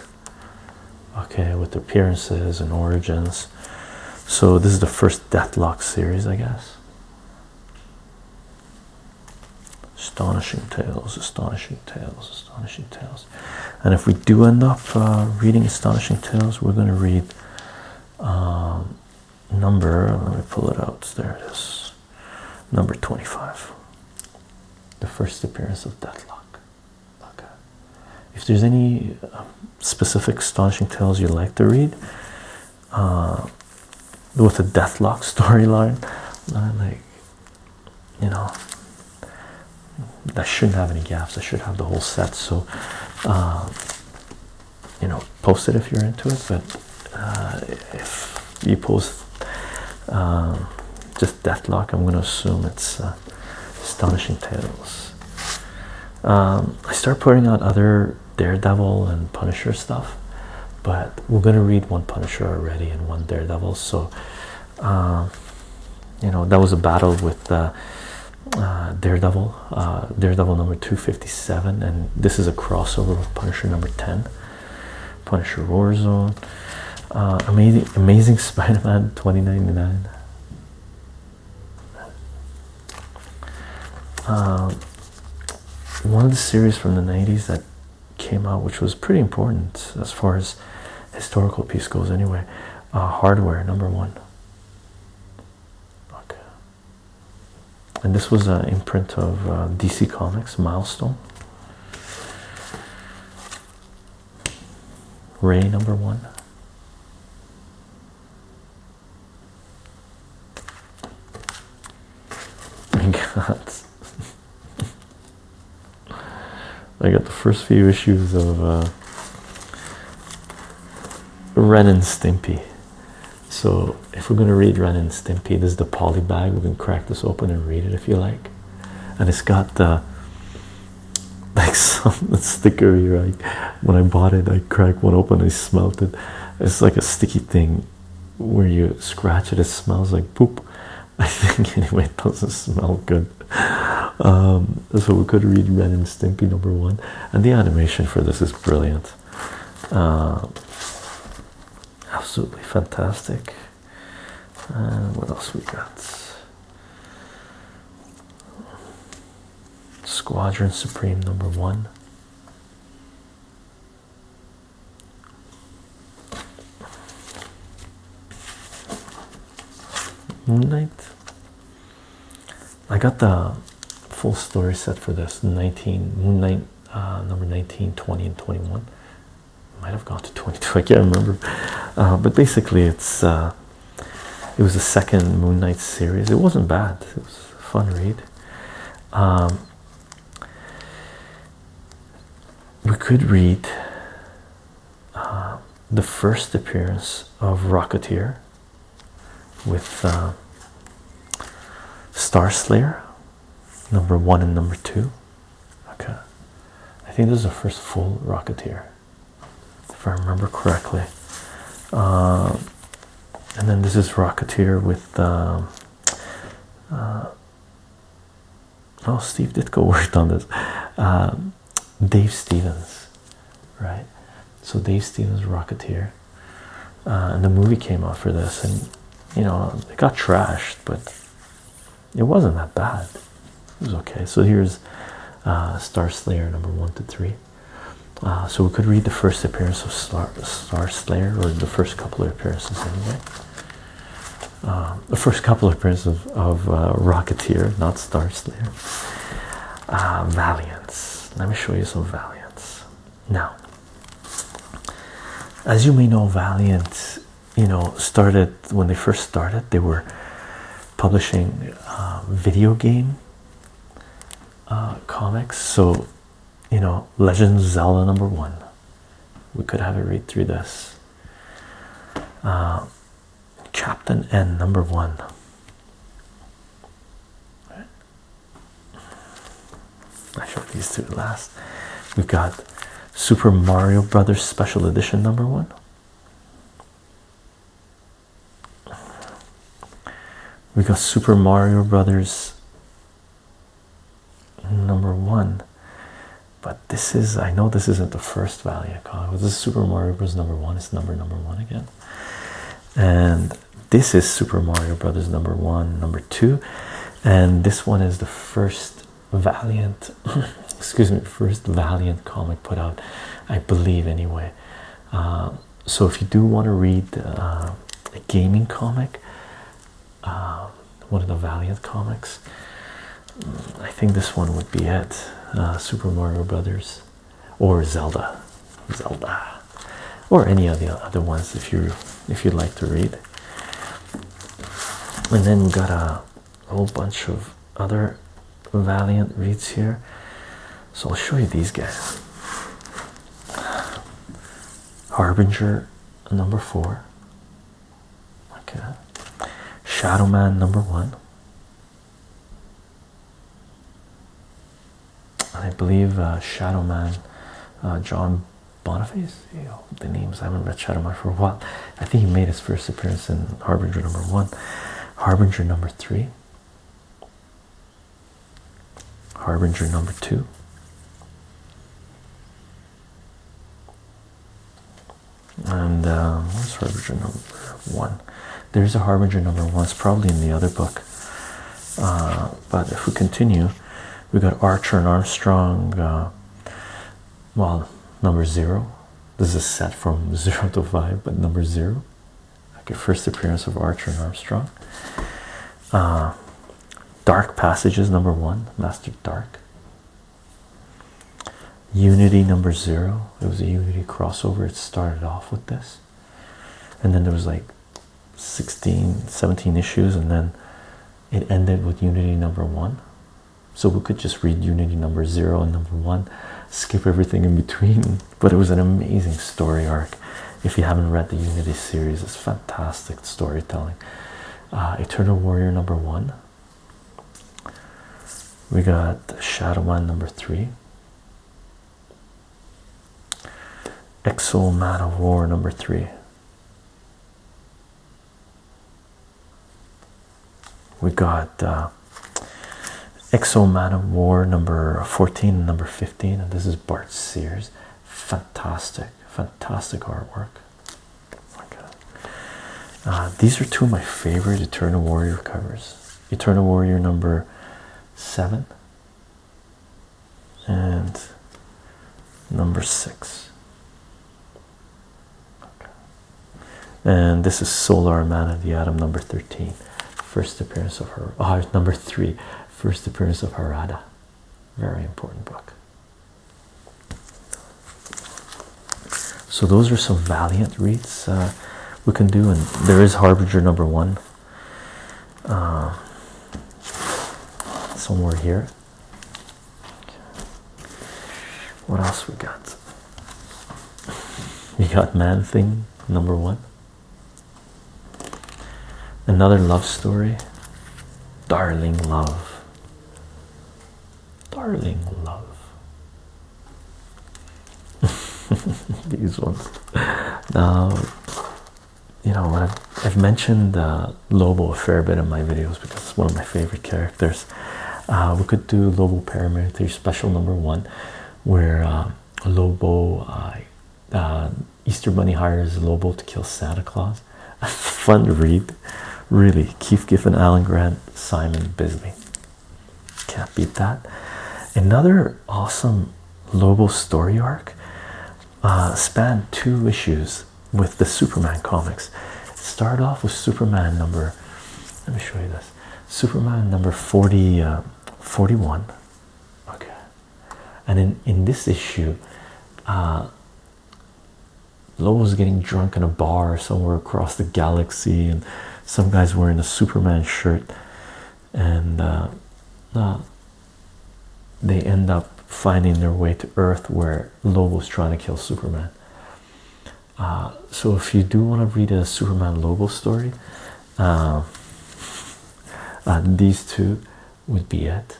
okay with appearances and origins so this is the first deathlock series i guess astonishing tales astonishing tales astonishing tales and if we do end up uh, reading astonishing tales we're going to read um, number, let me pull it out. There it is. Number 25. The first appearance of Deathlock. Okay. If there's any um, specific astonishing tales you would like to read, uh, with a Deathlock storyline, like, you know, that shouldn't have any gaps. I should have the whole set. So, uh, you know, post it if you're into it. But uh, if you post um, just Deathlock, I'm going to assume it's uh, Astonishing Tales. Um, I start putting out other Daredevil and Punisher stuff, but we're going to read one Punisher already and one Daredevil. So, um, you know, that was a battle with uh, uh, Daredevil, uh, Daredevil number 257, and this is a crossover of Punisher number 10, Punisher Warzone, uh, Amazing, Amazing Spider Man 2099. Um, one of the series from the 90s that came out, which was pretty important as far as historical piece goes, anyway. Uh, hardware number one. Okay and this was an imprint of uh, DC Comics Milestone. Ray number one. I got, I got the first few issues of uh, Ren and Stimpy. So, if we're going to read Ren and Stimpy, this is the poly bag. We can crack this open and read it if you like. And it's got the like some stickery, right? When I bought it, I cracked one open, I smelled it. It's like a sticky thing where you scratch it, it smells like poop. I think, anyway, it doesn't smell good. Um, so, we could read Ren and Stimpy number one. And the animation for this is brilliant. Uh, absolutely fantastic. what else we got? Squadron Supreme number one. Moon Knight, I got the full story set for this 19 moon night uh, number 19 20 and 21 might have gone to 22 I can't remember uh, but basically it's uh, it was the second moon night series it wasn't bad it was a fun read um, we could read the first appearance of Rocketeer with uh, Star Slayer number one and number two. Okay, I think this is the first full Rocketeer, if I remember correctly. Uh, and then this is Rocketeer with. Uh, uh, oh, Steve Ditko worked on this. Dave Stevens, right? So Dave Stevens Rocketeer, uh, and the movie came out for this, and you know it got trashed, but it wasn't that bad. It was okay. So here's uh, Star Slayer number one to three. Uh, so we could read the first appearance of Star, Star Slayer, or the first couple of appearances anyway. the first couple of appearances of, Rocketeer, not Star Slayer. Valiance. Let me show you some Valiance. Now, as you may know, Valiant, you know, started when they first started, they were publishing uh, video game uh, comics. So, you know, Legend Zelda number one. We could have it read through this. Uh, Captain N number one. I showed these two last. We've got Super Mario Brothers Special Edition number one. We got Super Mario Brothers number one, but this is I know this isn't the first value call. This is Super Mario Brothers number one. It's number number one again, and this is Super Mario Brothers number one, number two, and this one is the first Valiant, excuse me, first Valiant comic put out, I believe, anyway. Uh, so if you do want to read uh, a gaming comic, uh, one of the Valiant comics, I think this one would be it. Super Mario Brothers or Zelda, Zelda, or any of the other ones if you if you'd like to read. And then got a whole bunch of other Valiant reads here. So I'll show you these guys. Harbinger number four. Okay. Shadow Man number one. I believe uh, Shadow Man, uh, John Boniface. the names I haven't read Shadow for a while. I think he made his first appearance in Harbinger number one, Harbinger number three, Harbinger number two. And uh, what's Harbinger number one? There's a Harbinger number one. It's probably in the other book. Uh, but if we continue, we got Archer and Armstrong. Uh, well, number zero. This is a set from zero to five, but number zero. Okay, first appearance of Archer and Armstrong. Uh, Dark Passages, number one, Master Dark. Unity, number zero. It was a Unity crossover. It started off with this. And then there was like 16, 17 issues, and then it ended with Unity number one. So we could just read Unity number zero and number one, skip everything in between. But it was an amazing story arc. If you haven't read the Unity series, it's fantastic storytelling. Uh, Eternal Warrior number one. We got Shadowman number three. Exo Man of War number three. We got uh, Exo Man of War number 14 and number 15, and this is Bart Sears. Fantastic, fantastic artwork. Uh, these are two of my favorite Eternal Warrior covers. Eternal Warrior number seven and number six. And this is Solar Man the Adam number 13. First appearance of her, oh, number three, first appearance of Harada. Very important book. So, those are some valiant reads uh, we can do, and there is Harbinger number one uh, somewhere here. What else we got? We got Man Thing number one. Another love story. Darling love. Darling love. These ones. Now you know, I've, mentioned uh, Lobo a fair bit in my videos because it's one of my favorite characters. Uh, we could do Lobo Paramilitary Special Number One, where uh, Lobo, Easter Bunny hires Lobo to kill Santa Claus. Fun to read, really. Keith Giffen, Alan Grant, Simon Bisley. Can't beat that. Another awesome Lobo's story arc uh, spanned two issues with the Superman comics. It started off with Superman number. Let me show you this. Superman number 40, uh, 41. Okay, and in in this issue, uh, Lobo's getting drunk in a bar somewhere across the galaxy, and some guys wearing a Superman shirt and uh, uh, they end up finding their way to Earth where Lobo's trying to kill Superman. Uh, so if you do want to read a Superman Lobo story, um, these two would be it.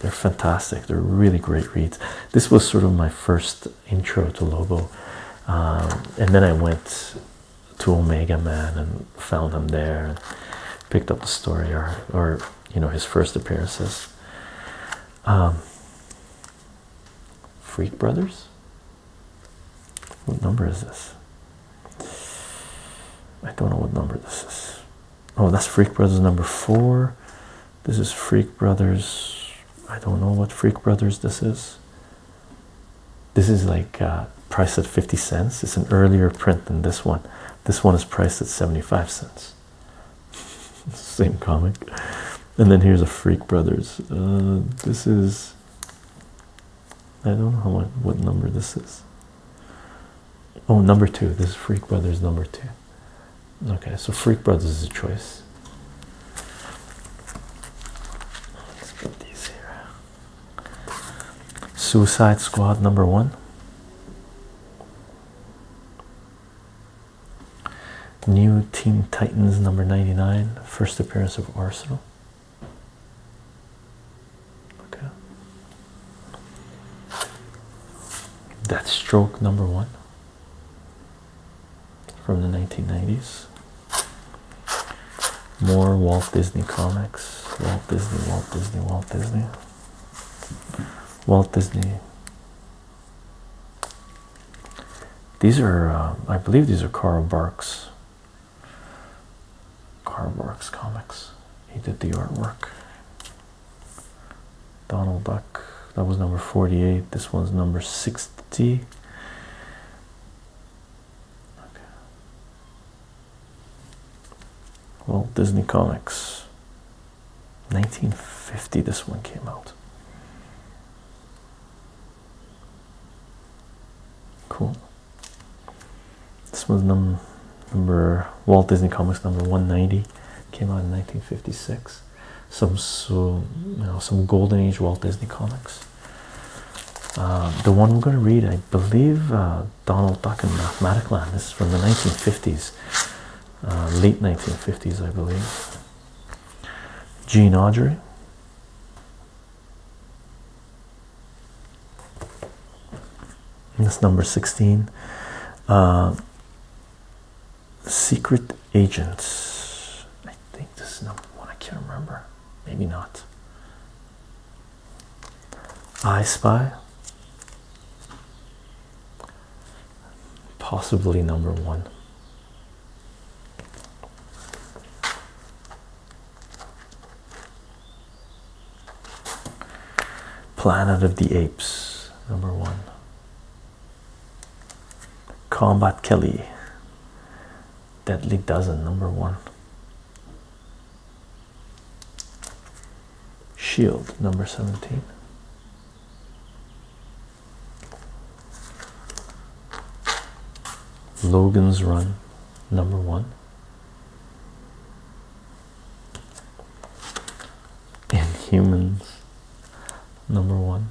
they're fantastic. They're really great reads. This was sort of my first intro to Lobo, um, and then I went to Omega Man and found him there and picked up the story or you know his first appearances. Um, Freak Brothers. What number is this? I don't know what number this is. Oh, that's Freak Brothers number four. This is Freak Brothers. I don't know what Freak Brothers this is. This is like uh, Price at 50 cents. It's an earlier print than this one. This one is priced at 75 cents. Same comic. And then here's a Freak Brothers. Uh, this is. I don't know what number this is. Oh, number two. This is Freak Brothers number two. Okay, so Freak Brothers is a choice. Let's put these here. Suicide Squad number one. New Teen Titans number 99, first appearance of Arsenal. Okay. Deathstroke number one from the 1990s. More Walt Disney comics. Walt Disney, Walt Disney, Walt Disney. Walt Disney. These are, uh, I believe, these are Carl Barks. Carl Barks comics. He did the artwork. Donald Duck. That was number 48. This one's number 60. Okay. Well, Disney Comics. 1950 this one came out. Cool. This was number number Walt Disney Comics number 190 came out in 1956. Some so you know some golden age Walt Disney comics. Uh, the one we're gonna read, I believe uh, Donald Duck and Mathematicland. This is from the 1950s, uh, late 1950s, I believe. Gene Audrey. That's number 16. Uh, Secret Agents. I think this is number one. I can't remember. Maybe not. I Spy, possibly number one. Planet of the Apes, number one. Combat Kelly, Deadly Dozen, number one. Shield number 17. Logan's Run number one. Inhumans number one.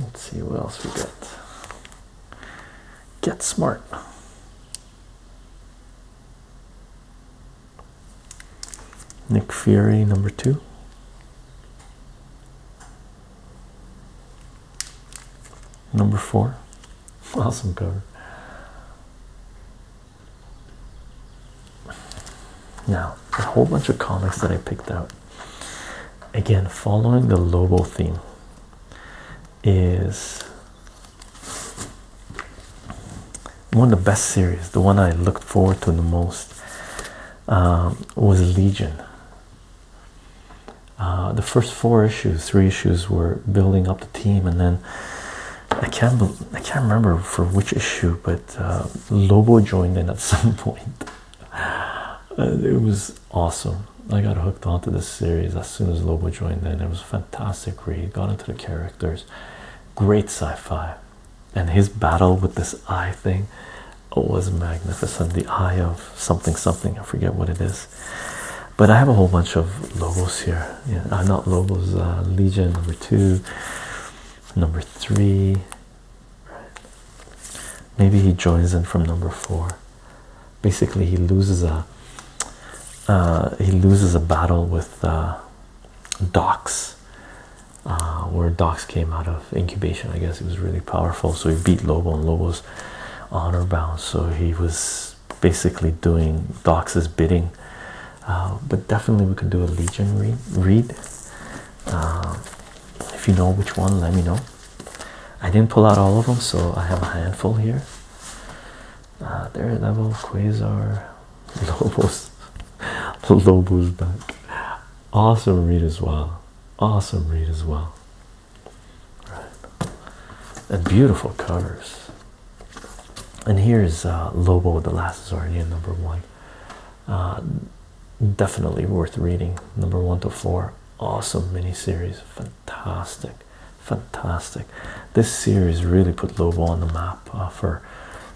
Let's see what else we got. Get smart. Nick Fury, number two. Number four. Awesome cover. Now, a whole bunch of comics that I picked out. Again, following the Lobo theme is one of the best series. The one I looked forward to the most um, was Legion. Uh, the first four issues, three issues, were building up the team, and then I can't I can't remember for which issue, but uh, Lobo joined in at some point. Uh, it was awesome. I got hooked onto this series as soon as Lobo joined in. It was a fantastic read, got into the characters, great sci fi. And his battle with this eye thing was magnificent. The eye of something, something, I forget what it is. But I have a whole bunch of logos here. Yeah, uh, not Lobos uh, Legion number two, number three, Maybe he joins in from number four. Basically, he loses a uh, he loses a battle with uh, uh where Docs came out of incubation. I guess he was really powerful, so he beat Lobo, and Lobo's honor bound. So he was basically doing Docs's bidding. Uh, but definitely, we could do a Legion read. if you know which one, let me know. I didn't pull out all of them, so I have a handful here. Uh, level Quasar, Lobos, Lobos back. Awesome read as well. Awesome read as well. Right. And beautiful covers. And here's uh, Lobo, the last Zardian, number one. Uh, definitely worth reading. Number one to four, awesome miniseries, fantastic, fantastic. This series really put Lobo on the map uh, for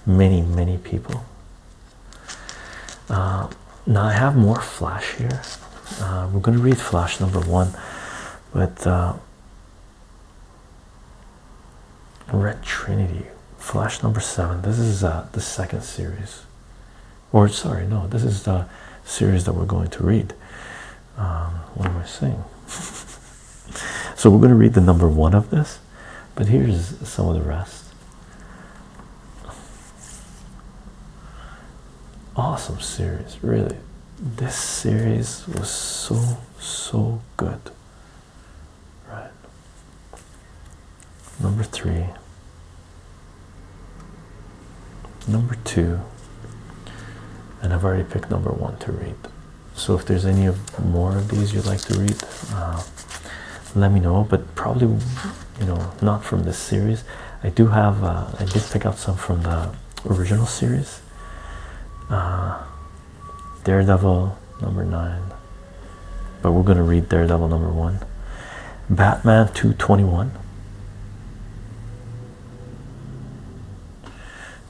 many, many people. Uh, now I have more Flash here. Uh, we're going to read Flash number one, but Red Trinity, Flash number seven. This is the second series or sorry, no, this is the series that we're going to read. Um, what am I saying? so we're going to read the number one of this, but here's some of the rest. Awesome series, really. This series was so, so good. Right. Number three. Number two, and I've already picked number one to read. So if there's any of more of these you'd like to read, uh, let me know. But probably, you know, not from this series. I do have. Uh, I did pick out some from the original series. Uh, Daredevil number nine, but we're gonna read Daredevil number one. Batman two twenty one.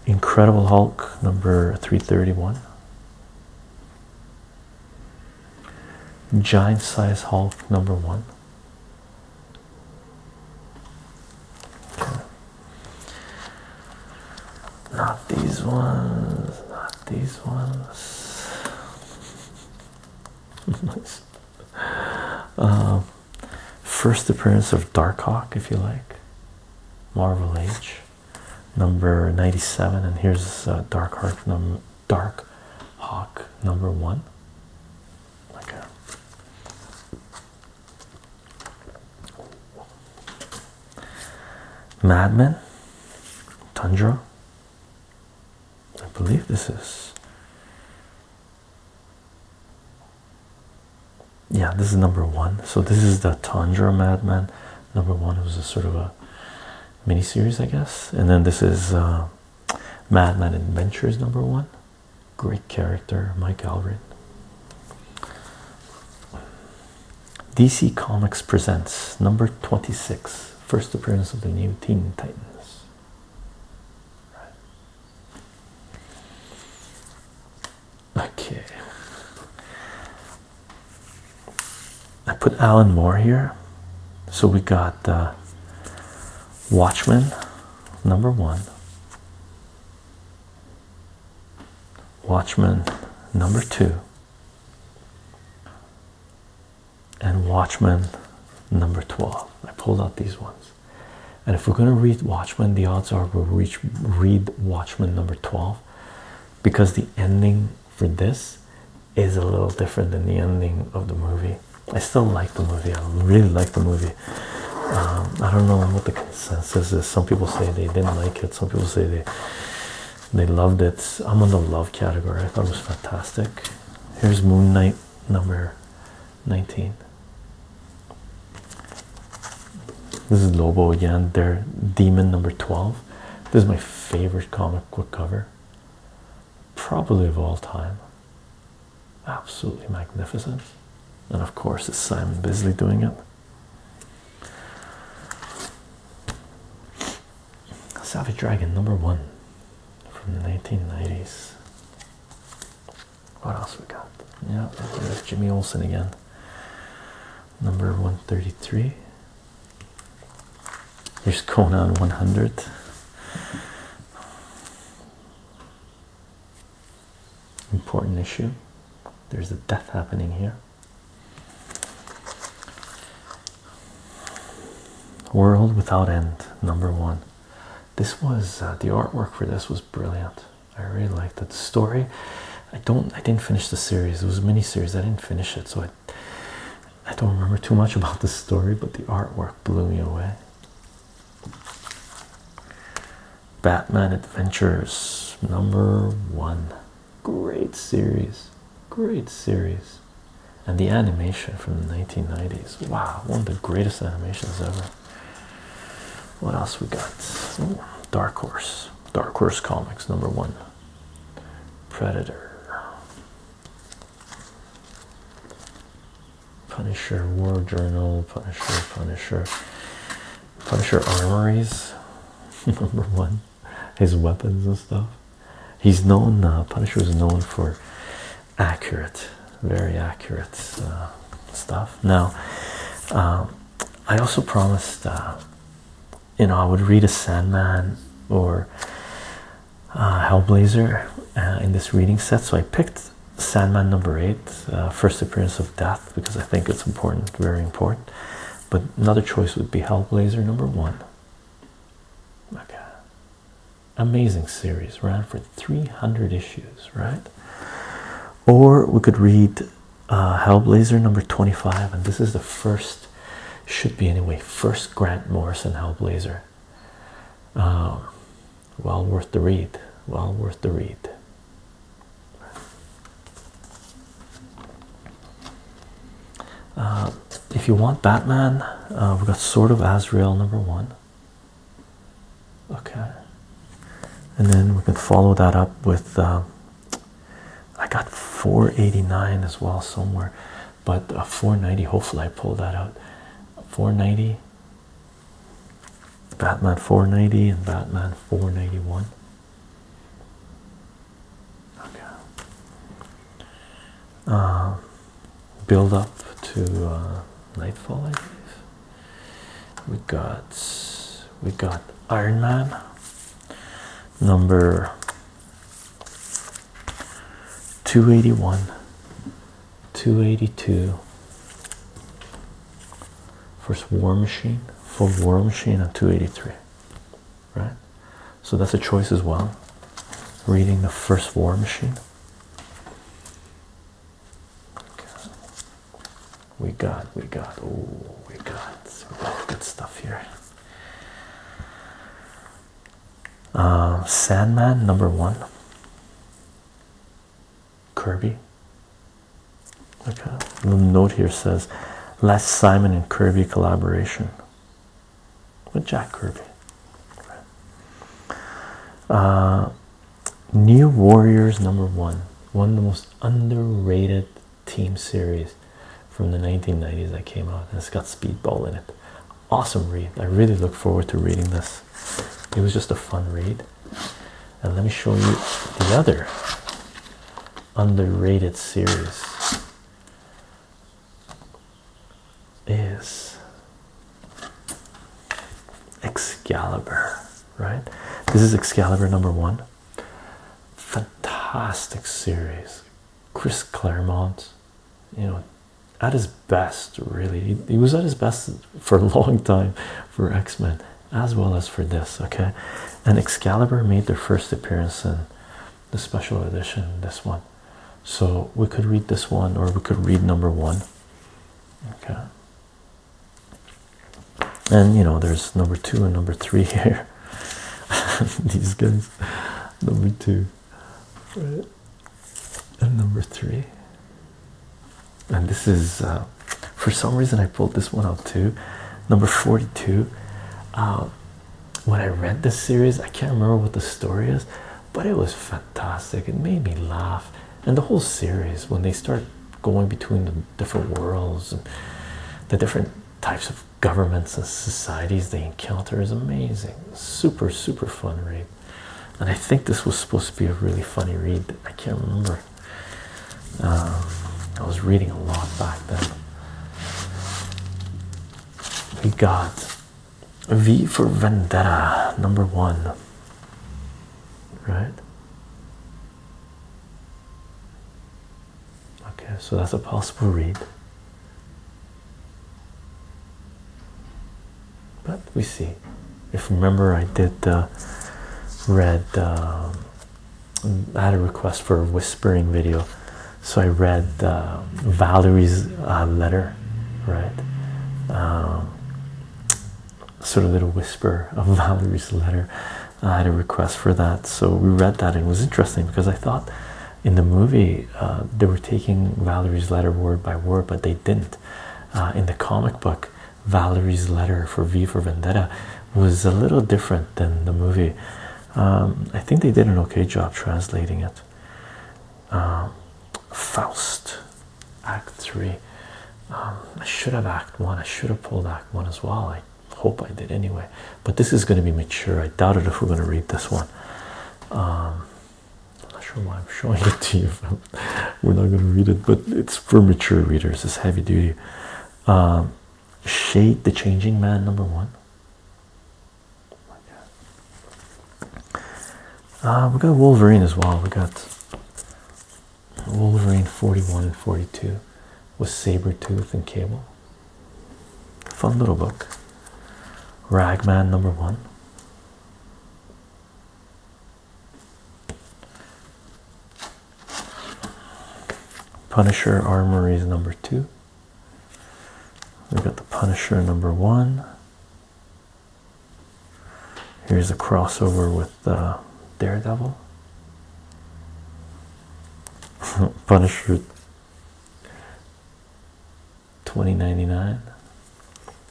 Incredible Hulk number 331. Giant Size Hulk number 1. Not these ones, not these ones. Um, first appearance of Darkhawk, if you like, Marvel Age, number ninety-seven, and here's uh, Dark Hawk number Dark Hawk number one. Okay. Madman, Tundra. I believe this is yeah this is number one so this is the tundra madman number one it was a sort of a mini series i guess and then this is uh, madman adventures number one great character mike alred dc comics presents number 26 first appearance of the new teen titans Okay. I put Alan Moore here. So we got uh, Watchmen number one, Watchmen number two, and Watchmen number 12. I pulled out these ones. And if we're going to read Watchmen, the odds are we'll reach, read Watchmen number 12 because the ending for this is a little different than the ending of the movie. I still like the movie, I really like the movie. Um, I don't know what the consensus is. Some people say they didn't like it, some people say they they loved it. I'm on the love category, I thought it was fantastic. Here's Moon Knight number 19. This is Lobo again, their demon number 12. This is my favorite comic book cover, probably of all time. Absolutely magnificent. And of course, it's Simon Bisley doing it. Savage Dragon number one from the 1990s. What else we got? Yeah, there's Jimmy Olsen again. Number 133. Here's Conan 100. Important issue. There's a death happening here. World Without End, number one this was uh, the artwork for this was brilliant. I really liked that story. I don't. I didn't finish the series. It was a mini series. I didn't finish it, so I. I don't remember too much about the story, but the artwork blew me away. Batman Adventures number one. Great series. Great series and the animation from the 1990s. Wow, one of the greatest animations ever. What else we got? Dark Horse, Dark Horse Comics, number one. Predator, Punisher, War Journal, Punisher, Punisher, Punisher Armories, number one. His weapons and stuff. He's known. Uh, Punisher was known for accurate, very accurate uh, stuff. Now, um, I also promised, uh, you know, I would read a Sandman or uh, Hellblazer in this reading set, so I picked Sandman number eight, first appearance of death, because I think it's important, very important. But another choice would be Hellblazer number one. Okay, amazing series ran for 300 issues right or we could read uh, hellblazer number 25 and this is the first should be anyway first grant morrison hellblazer um, well worth the read well worth the read uh, if you want batman uh, we've got sort of azrael number one Okay, and then we can follow that up with uh, I got 489 as well somewhere, but a 490. Hopefully, I pull that out. 490, Batman 490, and Batman 491. Okay. Um, build up to uh, nightfall. I believe we got we got Iron Man number two eighty one, two eighty two. First War Machine, full War Machine, on two eighty three. Right, so that's a choice as well. Reading the first War Machine. We got, we got, oh, we got a lot good stuff here. Um, Sandman number one, Kirby. Okay, the note here says last Simon and Kirby collaboration with Jack Kirby. Uh, New Warriors number one, one of the most underrated team series from the 1990s that came out, it's got Speedball in it. Awesome read. I really look forward to reading this. It was just a fun read. And let me show you the other underrated series is Excalibur, right? This is Excalibur number one. Fantastic series. Chris Claremont, you know, at his best, really. He, was at his best for a long time for X Men as well as for this, okay? And Excalibur made their first appearance in the special edition, this one. So we could read this one or we could read number one okay and you know there's number two and number three here these guys number two right and number three and this is uh, for some reason i pulled this one out too number 42 uh, when i read this series i can't remember what the story is but it was fantastic. It made me laugh, and the whole series when they start going between the different worlds and the different types of governments and societies they encounter is amazing. Super, super fun read, and I think this was supposed to be a really funny read. I can't remember. Um, I was reading a lot back then. We got V for Vendetta, number one, right? Okay, so that's a possible read. But we see. If remember, I did uh, read, um, I had a request for a whispering video. So I read uh, Valerie's uh, letter, right? Um, sort of little whisper of Valerie's letter. I had a request for that, so we read that, and it was interesting because I thought in the movie uh, they were taking Valerie's letter word by word, but they didn't. Uh, in the comic book, Valerie's letter for V for Vendetta was a little different than the movie. Um, I think they did an okay job translating it. Um, Faust act three um, i should have act one i should have pulled act one as well i hope i did anyway but this is going to be mature i doubted if we're going to read this one um, i'm not sure why i'm showing it to you we're not going to read it but it's for mature readers it's heavy duty um, shade the changing man number one uh, we got Wolverine as well. We got Wolverine 41 and 42 with Sabretooth and Cable. Fun little book. Ragman number one. Punisher Armories number two. We've got the Punisher number one. Here's a crossover with uh, Daredevil. Punisher 2099.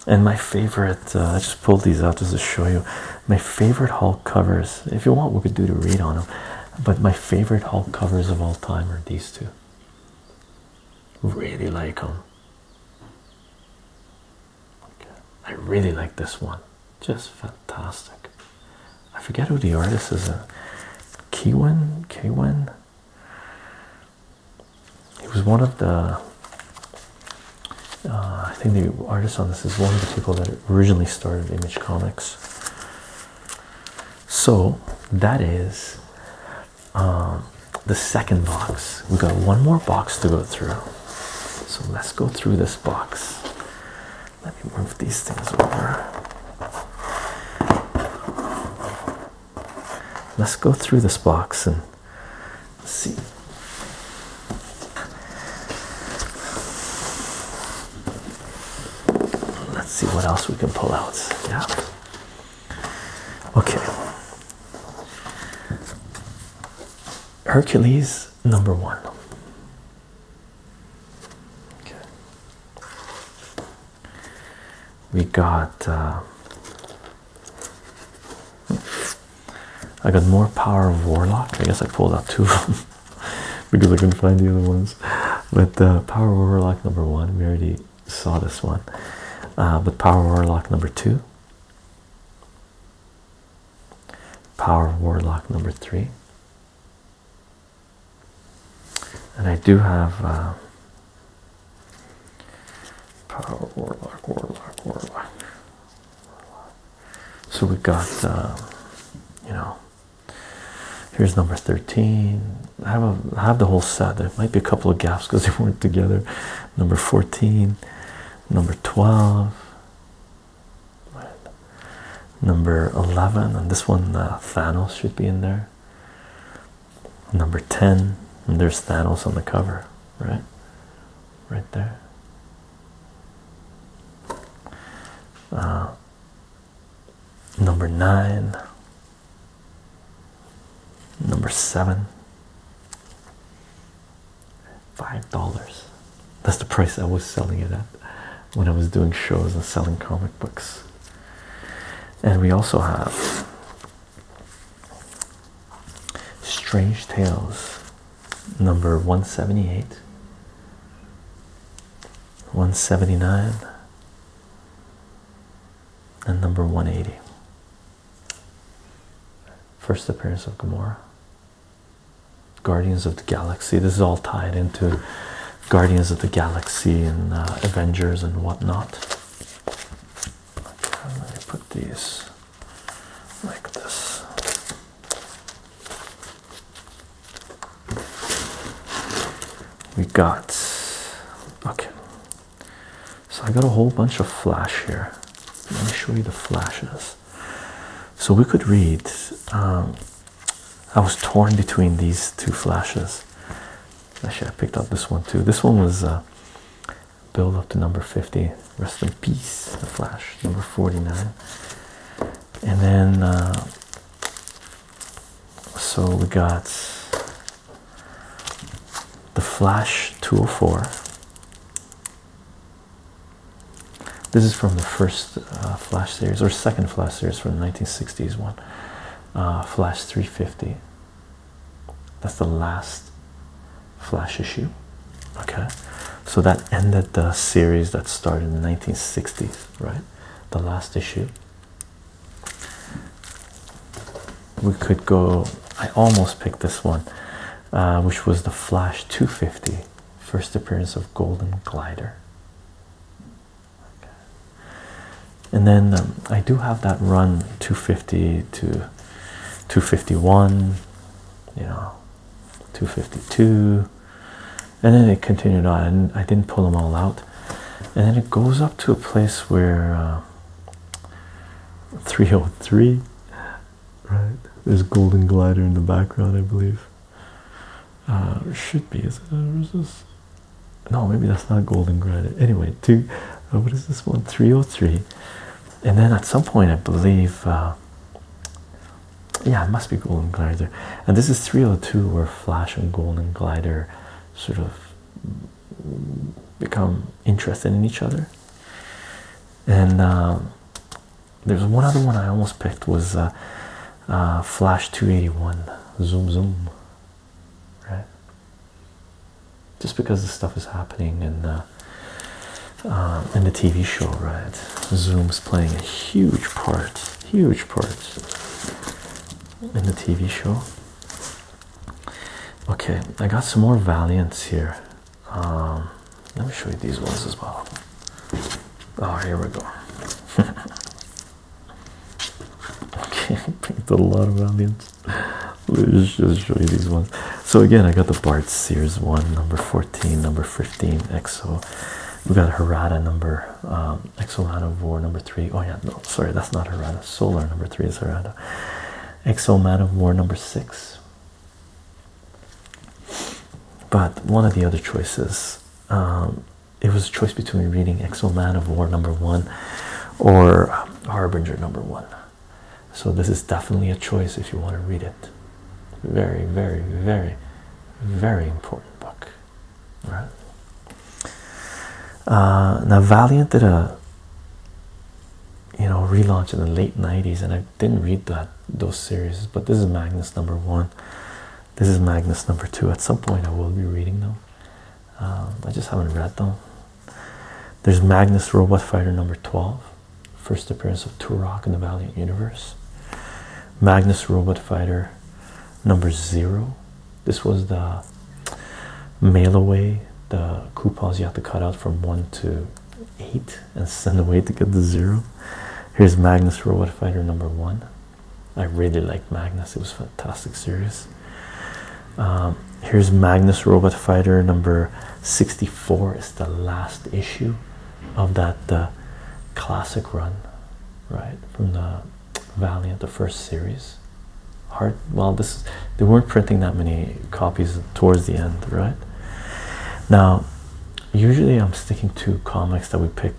And my favorite, uh, I just pulled these out just to show you. My favorite Hulk covers, if you want, we could do the read on them. But my favorite Hulk covers of all time are these two. Really like them. Okay. I really like this one. Just fantastic. I forget who the artist is. A uh, Kiwin? Kiwin? He was one of the. Uh, I think the artist on this is one of the people that originally started Image Comics. So that is um, the second box. We've got one more box to go through. So let's go through this box. Let me move these things over. Let's go through this box and see. Let's see what else we can pull out. Yeah. Okay. Hercules number one. Okay. We got. Uh, I got more power of warlock. I guess I pulled out two because I couldn't find the other ones. But uh, power of warlock number one, we already saw this one. Uh, but power of warlock number two, Power Warlock number three. And I do have uh, Power Warlock, Warlock, Warlock. So we got, uh, you know, here's number 13. I have, have the whole set. There might be a couple of gaps because they weren't together. Number 14, number 12 number 11 and this one uh, Thanos should be in there number 10 and there's Thanos on the cover right right there uh, number 9 number 7 five dollars that's the price I was selling it at when I was doing shows and selling comic books and we also have Strange Tales number 178 179 and number 180 First appearance of Gamora. Guardians of the Galaxy. This is all tied into Guardians of the Galaxy and uh, Avengers and whatnot. Okay, i put these like this. We got okay. So I got a whole bunch of flash here. Let me show you the flashes. So we could read. Um, I was torn between these two flashes. Actually, I picked up this one too. This one was uh, build up to number 50. Rest in peace, the flash, number 49. And then, uh, so we got the flash 204. This is from the first uh, Flash series or second Flash series from the 1960s one. Uh, flash 350. That's the last Flash issue. Okay, so that ended the series that started in nineteen sixty 1960s, right? The last issue. We could go. I almost picked this one uh, which was the Flash 250, first appearance of Golden Glider. And then um, I do have that run 250 to 251, you know, 252, and then it continued on. I didn't, I didn't pull them all out, and then it goes up to a place where. 303 uh, right? There's golden glider in the background, I believe. Uh, should be, is it? Or uh, is this? No, maybe that's not golden glider. Anyway, two. Uh, what is this one? Three hundred oh three. And then at some point, I believe. yeah, it must be golden glider. And this is three hundred oh two, where Flash and golden glider, sort of, become interested in each other and um, there's one other one I almost picked was uh, uh, Flash 281 Zoom Zoom, right? Just because the stuff is happening and. Uh, in the TV show, right? Zoom's playing a huge part, huge part in the TV show. Okay, I got some more Valiants here. Um, let me show you these ones as well. Oh, here we go. okay, picked a lot of aliens. Let's just show you these ones. So again, I got the Bart Sears one, number 14, number 15, EXO. We got Harada number EXO um, Man of War number three. Oh yeah, no, sorry, that's not Harada. Solar number three is Harada. EXO Man of War number six. But one of the other choices, um, it was a choice between reading X-Men of War number one or Harbinger number one. So this is definitely a choice if you want to read it. Very, very, very, very important book. All right. Uh, now Valiant did a you know relaunch in the late 90s and I didn't read that those series, but this is Magnus number one. This is Magnus number two. At some point, I will be reading them. Um, I just haven't read them. There's Magnus Robot Fighter number 12, first appearance of Turok in the Valiant Universe. Magnus Robot Fighter number zero. This was the mail away, the coupons you have to cut out from one to eight and send away to get the zero. Here's Magnus Robot Fighter number one. I really liked Magnus, it was a fantastic series. Um, here's Magnus Robot Fighter number 64, it's the last issue of that uh, classic run, right? From the Valiant, the first series. Hard, well, this they weren't printing that many copies towards the end, right? Now, usually I'm sticking to comics that we pick,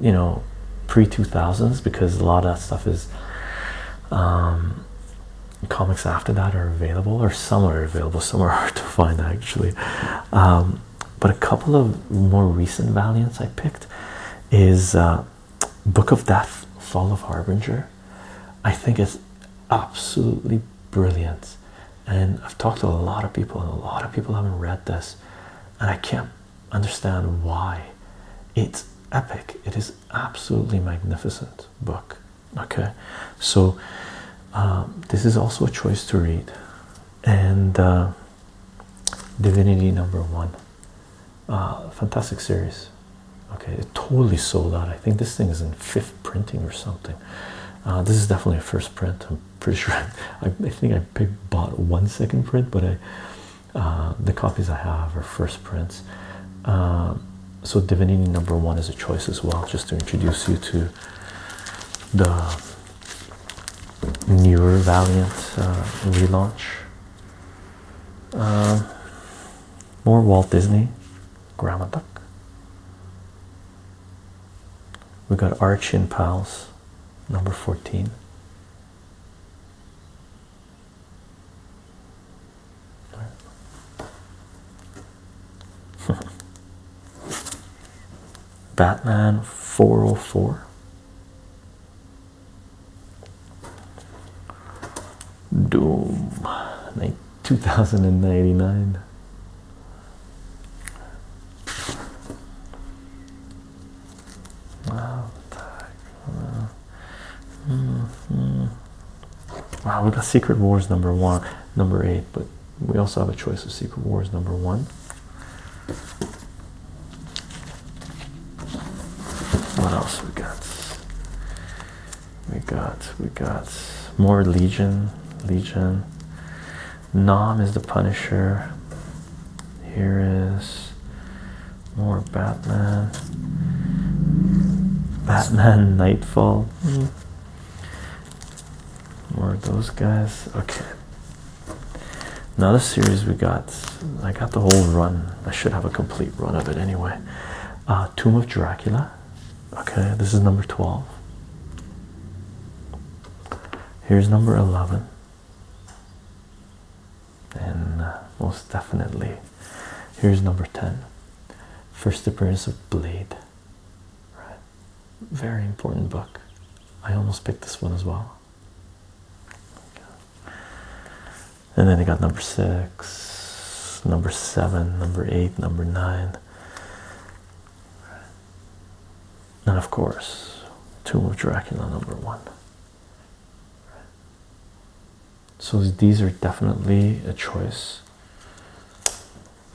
you know, pre 2000s because a lot of that stuff is um, comics after that are available, or some are available, some are hard to find actually. Um, but a couple of more recent Valiants I picked is uh, Book of Death, Fall of Harbinger. I think it's absolutely brilliant and I've talked to a lot of people, and a lot of people haven't read this, and I can't understand why. It's epic. It is absolutely magnificent book. Okay, so um, this is also a choice to read, and uh, Divinity Number One, uh, fantastic series. Okay, it totally sold out. I think this thing is in 50 printing or something. Uh, this is definitely a first print. I'm pretty sure. I, think I bought one second print, but uh, the copies I have are first prints. Um, so Divinity number one is a choice as well, just to introduce you to the newer Valiant uh, relaunch. Um, more Walt Disney, Grandma Duck. We got Archin Pals, number 14. Batman 404. Doom 2099. Wow, wow, we got Secret Wars number one, number eight, but we also have a choice of Secret Wars number one. What else we got? we got we got more legion legion nom is the punisher here is more batman batman nightfall more of those guys okay Another series we got i got the whole run i should have a complete run of it anyway uh, tomb of dracula Okay, this is number 12. Here's number 11. And uh, most definitely, here's number 10. First appearance of Blade. Right. Very important book. I almost picked this one as well. And then I got number six, number seven, number eight, number nine, and of course tomb of dracula number one so these are definitely a choice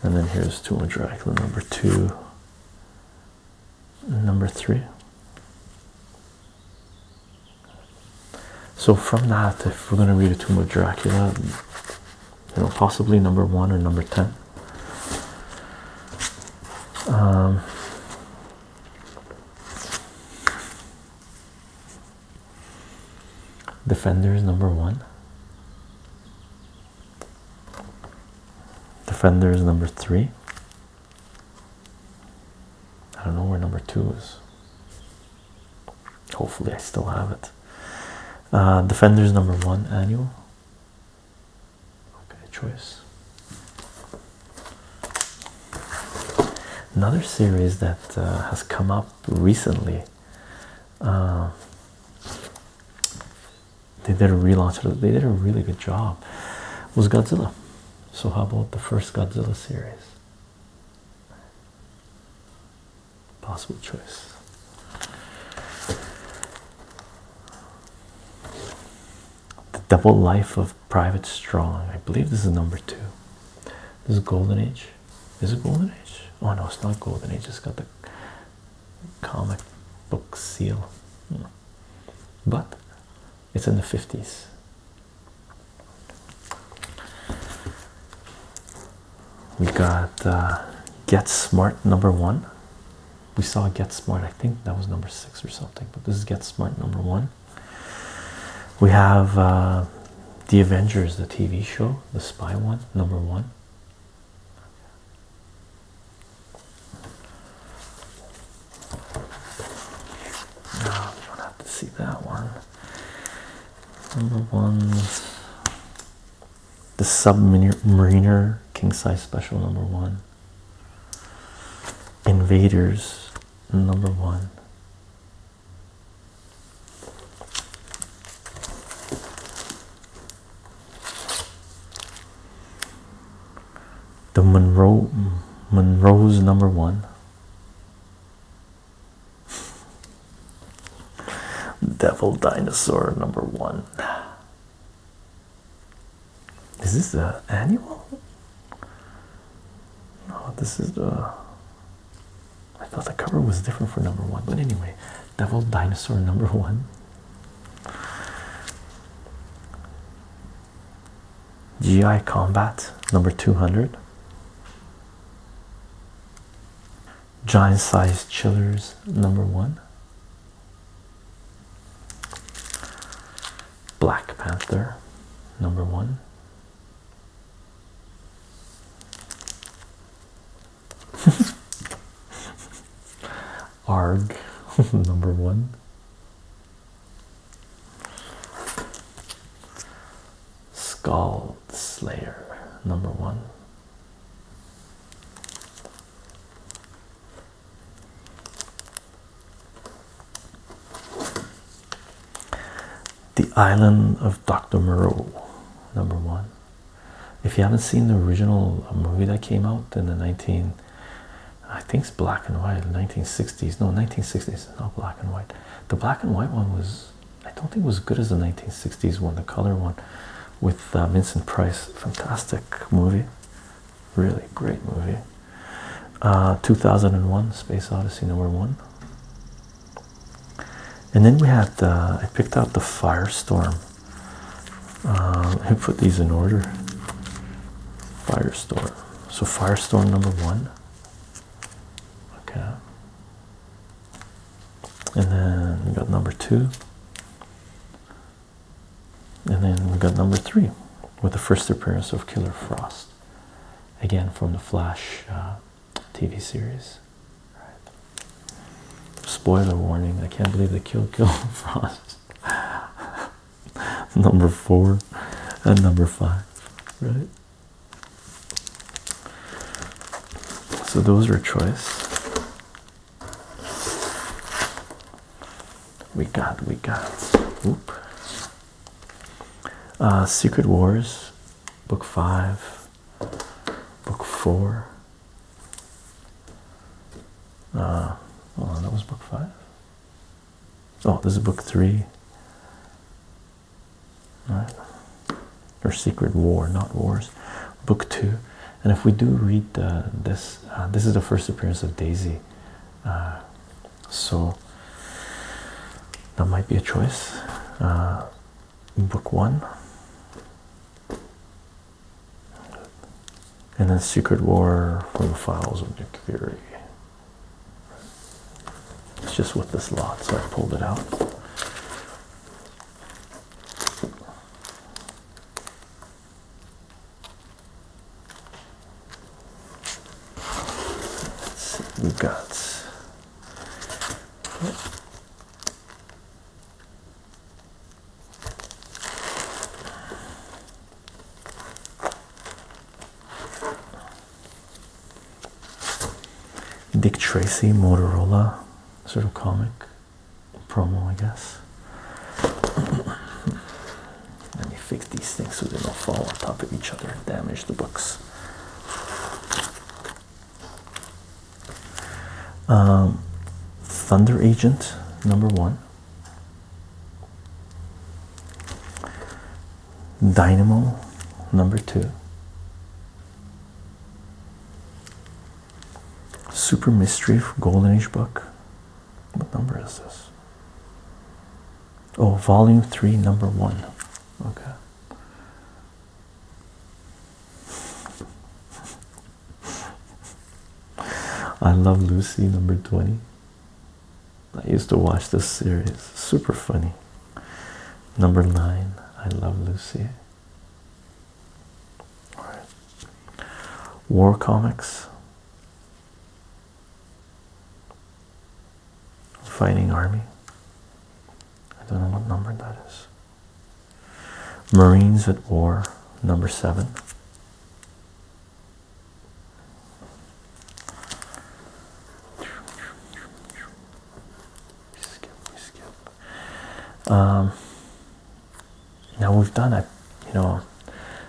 and then here's tomb of dracula number two number three so from that if we're going to read a tomb of dracula you know, possibly number one or number ten. Um, Defenders number one. Defenders number three. I don't know where number two is. Hopefully, I still have it. Uh, Defenders number one annual. Okay, choice. Another series that uh, has come up recently. Um, they did a relaunch. They did a really good job. It was Godzilla? So how about the first Godzilla series? possible choice. The Double Life of Private Strong. I believe this is number two. This is Golden Age. Is it Golden Age? Oh no, it's not Golden Age. It's got the comic book seal. Hmm. But it's in the 50s we got uh, Get Smart number one. We saw Get Smart, I think that was number six or something, but this is Get Smart number one. We have uh, The Avengers, the TV show, the spy one, number one. Oh, don't have to see that one. Number one the submariner king size special number one invaders number one the monroe monroe's number one Devil Dinosaur number one. Is this the annual? No, this is the. I thought the cover was different for number one, but anyway, Devil Dinosaur number one. GI Combat number 200 giant sized chillers number one black panther number one arg number one Scald Slayer number one the Island of Dr. Moreau, number one. If you haven't seen the original movie that came out in the 19, I think it's black and white, 1960s. No, 1960s, not black and white. The black and white one was, I don't think, it was as good as the 1960s one. The color one with uh, Vincent Price. Fantastic movie, really great movie. Uh, 2001 Space Odyssey number one. And then we have uh, I picked out the Firestorm. Uh, I put these in order. Firestorm. So Firestorm number one. Okay and then we got number two, and then we got number three with the first appearance of Killer Frost, again from the Flash uh, TV series. Right. Spoiler warning! I can't believe they killed Killer Frost. number four and number five, right? So those are choice. We got, we got. Whoop. Uh, Secret Wars, Book 5, Book 4. Uh, that was Book 5. Oh, this is Book 3. All right. Or Secret War, not Wars. Book 2. And if we do read this, uh, this is the first appearance of Daisy. Uh, so that might be a choice. Uh, book one. And then Secret War from the Files of Nick Fury. It's just with this lot, so I pulled it out we got Dick Tracy Motorola sort of comic promo, I guess. Let me fix these things so they don't fall on top of each other and damage the books. Um, Thunder Agent number one, Dynamo number two, Super Mystery for Golden Age book. What number is this? Oh, volume three, number one. Okay. I Love Lucy, number 20. I used to watch this series, super funny. Number nine, I Love Lucy. War comics. Fighting Army. I don't know what number that is. Marines at War, number seven. skip, skip. Um, now we've done a, you know,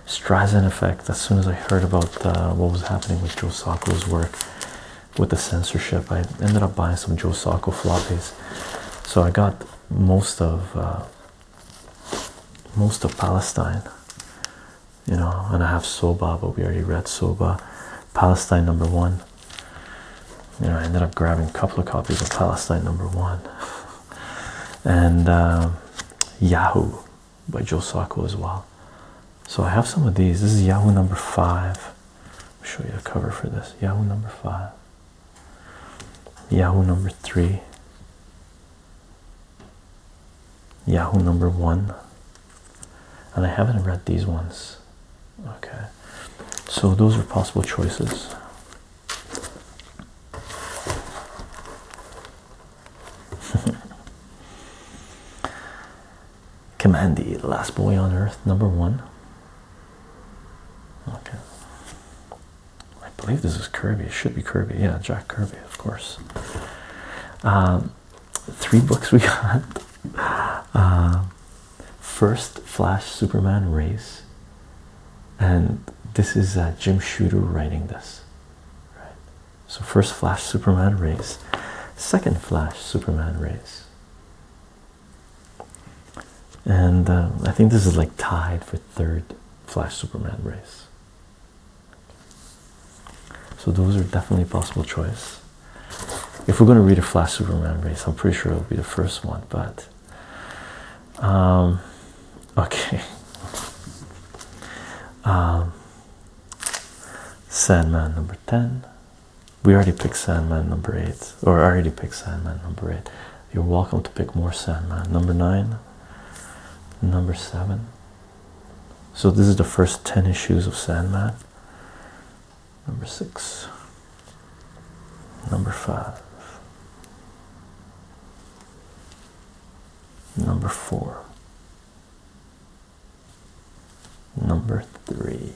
Streisand effect. As soon as I heard about uh, what was happening with Joe Sacco's work with the censorship, I ended up buying some Joe Sacco floppies. So I got most of uh, most of Palestine, you know, and I have Soba, but we already read Soba. Palestine number one you know, I ended up grabbing a couple of copies of Palestine Number One and um, Yahoo by Joe Sacco as well. So I have some of these. This is Yahoo Number Five. I'll show you the cover for this. Yahoo Number Five. Yahoo Number Three. Yahoo Number One. And I haven't read these ones. Okay. So those are possible choices. Commandy, last boy on earth, number one. Okay. I believe this is Kirby. It should be Kirby. Yeah, Jack Kirby, of course. Um, three books we got. Uh, first Flash Superman Race and this is uh, Jim Shooter writing this. Right. So first Flash Superman race, second Flash Superman race, and uh, I think this is like tied for third Flash Superman race. So those are definitely possible choices. If we're going to read a Flash Superman race, I'm pretty sure it'll be the first one, but um, okay. Um, Sandman number 10. We already picked Sandman number 8, or already picked Sandman number 8. You're welcome to pick more Sandman number 9, number 7. So, this is the first 10 issues of Sandman. Number 6, Number five. Number four. Number three.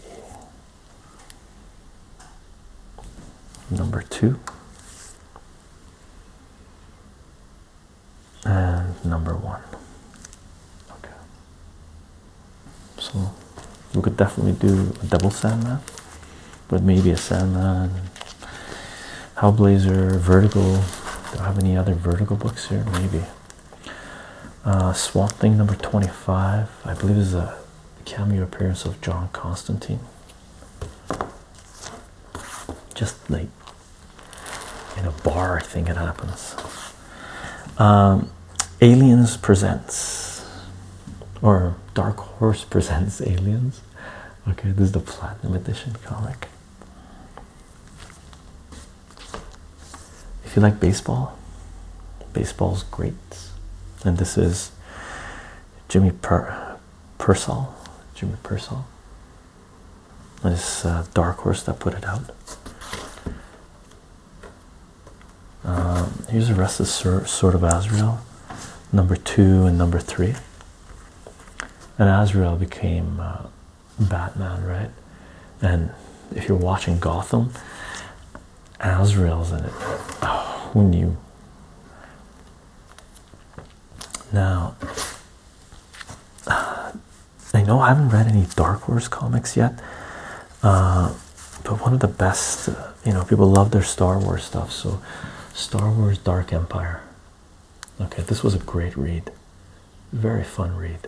Number two. And number one. Okay. So we could definitely do a double sand Sandman but maybe a Sandman, Hellblazer, vertical. Do I have any other vertical books here? Maybe. Uh, Swamp Thing number 25. I believe is a cameo appearance of John Constantine. Just like in a bar, I think it happens. Um, Aliens presents, or Dark Horse presents Aliens. Okay, this is the platinum edition comic. If you like baseball, baseball's great. And this is Jimmy per Persall. Jimmy Persall. This Dark Horse that put it out. Um, here's the rest of sort of Asriel number two and number three. And Azrael became uh, Batman, right? And if you're watching Gotham, Azrael's in it. Oh, who knew? Now, I know I haven't read any Dark Horse comics yet, uh, but one of the best uh, you know, people love their Star Wars stuff. So, Star Wars Dark Empire. Okay, this was a great read. Very fun read.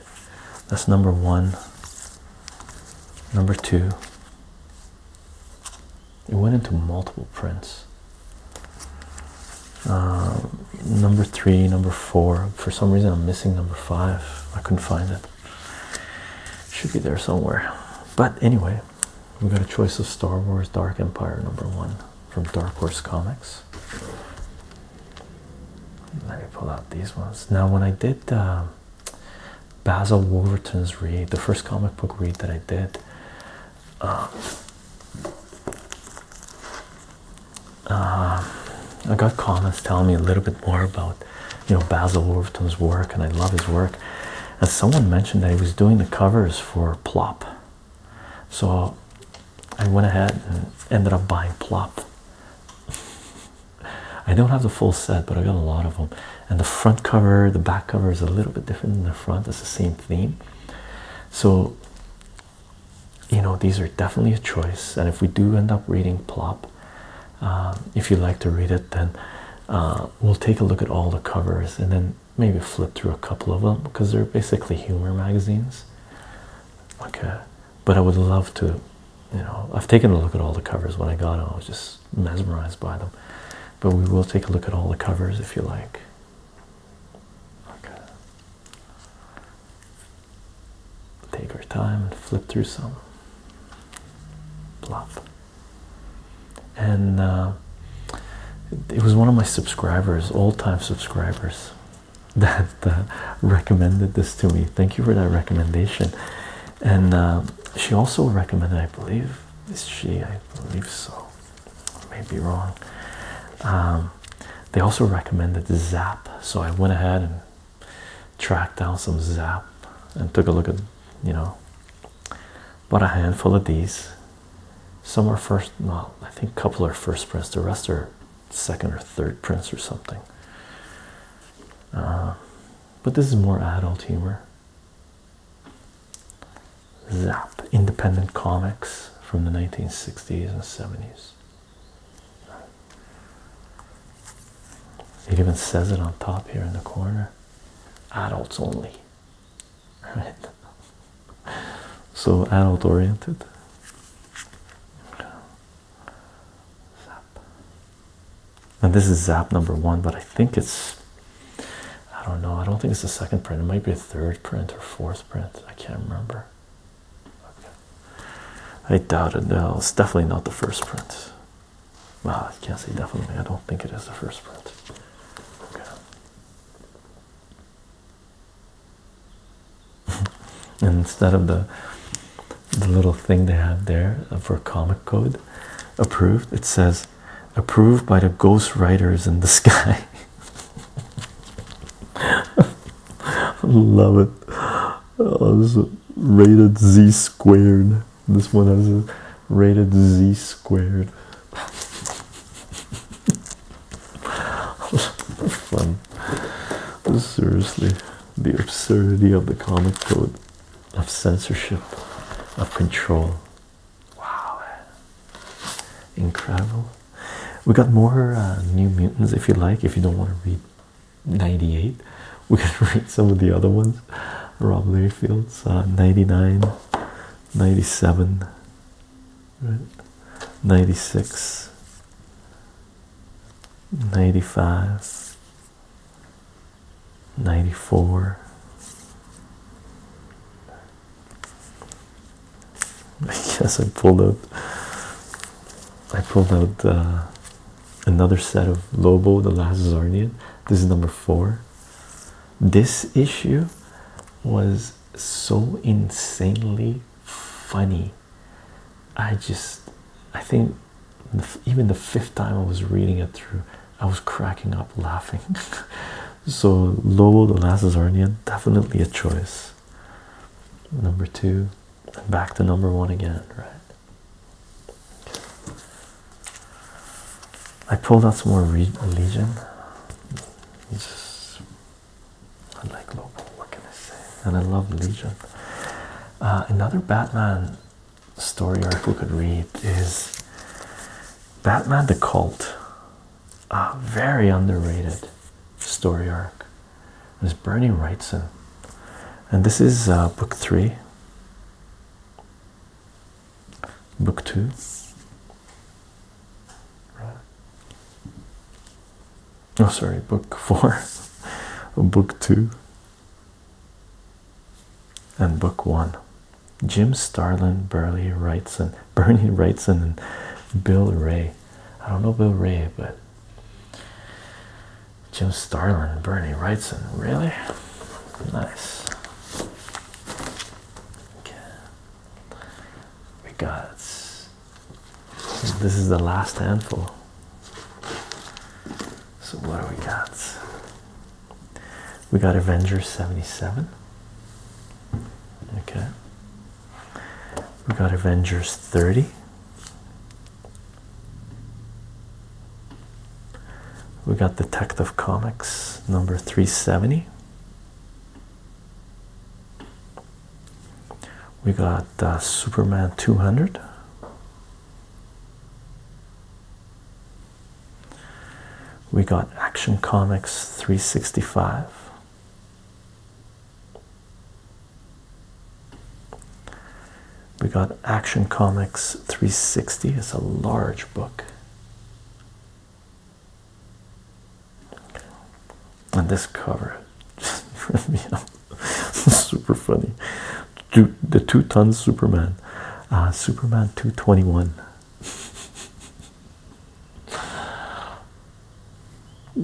That's number one. Number two. It went into multiple prints. Um, number three, number four. For some reason, I'm missing number five. I couldn't find it. Should be there somewhere. But anyway, we got a choice of Star Wars Dark Empire number one from Dark Horse Comics. Let me pull out these ones. Now, when I did um, Basil Wolverton's read, the first comic book read that I did, um, um, I got comments telling me a little bit more about, you know, Basil Wolverton's work, and I love his work and someone mentioned that he was doing the covers for Plop. So I went ahead and ended up buying Plop. I don't have the full set, but I got a lot of them. And the front cover, the back cover is a little bit different than the front, it's the same theme. So, you know, these are definitely a choice. And if we do end up reading Plop, um, if you like to read it, then uh, we'll take a look at all the covers and then maybe flip through a couple of them because they're basically humor magazines. Okay, uh, but I would love to, you know, I've taken a look at all the covers when I got them, I was just mesmerized by them. But we will take a look at all the covers if you like. Okay, take our time and flip through some. Plop and uh, it was one of my subscribers, old-time subscribers, that recommended this to me. Thank you for that recommendation. And uh, she also recommended, I believe, is she? I believe so. I may be wrong. Um, they also recommended Zap, so I went ahead and tracked down some Zap and took a look at, you know, but a handful of these. Some are first, well, I think a couple are first prints, the rest are second or third prints or something. Uh, but this is more adult humor. Zap, independent comics from the 1960s and 70s. It even says it on top here in the corner adults only right? So adult oriented. Zap. And this is zap number one, but I think it's I don't know, I don't think it's the second print. It might be a third print or fourth print. I can't remember. I doubt it. No, it's definitely not the first print. Well, I can't say definitely. I don't think it is the first print. Okay instead of the the little thing they have there for comic code approved, it says approved by the ghost writers in the sky. Love it. Oh, rated Z squared. This one has a rated Z squared fun. Seriously, the absurdity of the comic code, of censorship, of control. Wow, incredible. We got more uh, New Mutants if you like. If you don't want to read 98, we can read some of the other ones. Rob Layfield's uh, 99, 97 right 96 95 94 I guess I pulled out I pulled out uh, another set of Lobo the last Zarnian this is number 4 this issue was so insanely funny. I just, I think even the fifth time I was reading it through, I was cracking up laughing. so, Lobo the Last definitely a choice. Number two, back to number one again, right? I pulled out some more Legion. I like Lobo, what can I say? And I love Legion. Uh, another Batman story arc we could read is Batman the Cult. A very underrated story arc. It's Bernie Wrightson. And this is uh, book three. Book two, Oh, sorry, book four, book two, and book one. Jim Starlin, Burley Wrightson, Bernie Wrightson, and Bill Ray. I don't know Bill Ray, but Jim Starlin, Bernie Wrightson. Really nice. Okay. We got this is the last handful. So what do we got? We got Avengers 77. Okay. We got Avengers 30. We got Detective Comics number 370. We got uh, Superman 200. We got Action Comics 365. We got Action Comics 360. It's a large book. And this cover just ripped me up. Super funny. Two, the uh, two ton Superman. Superman 221.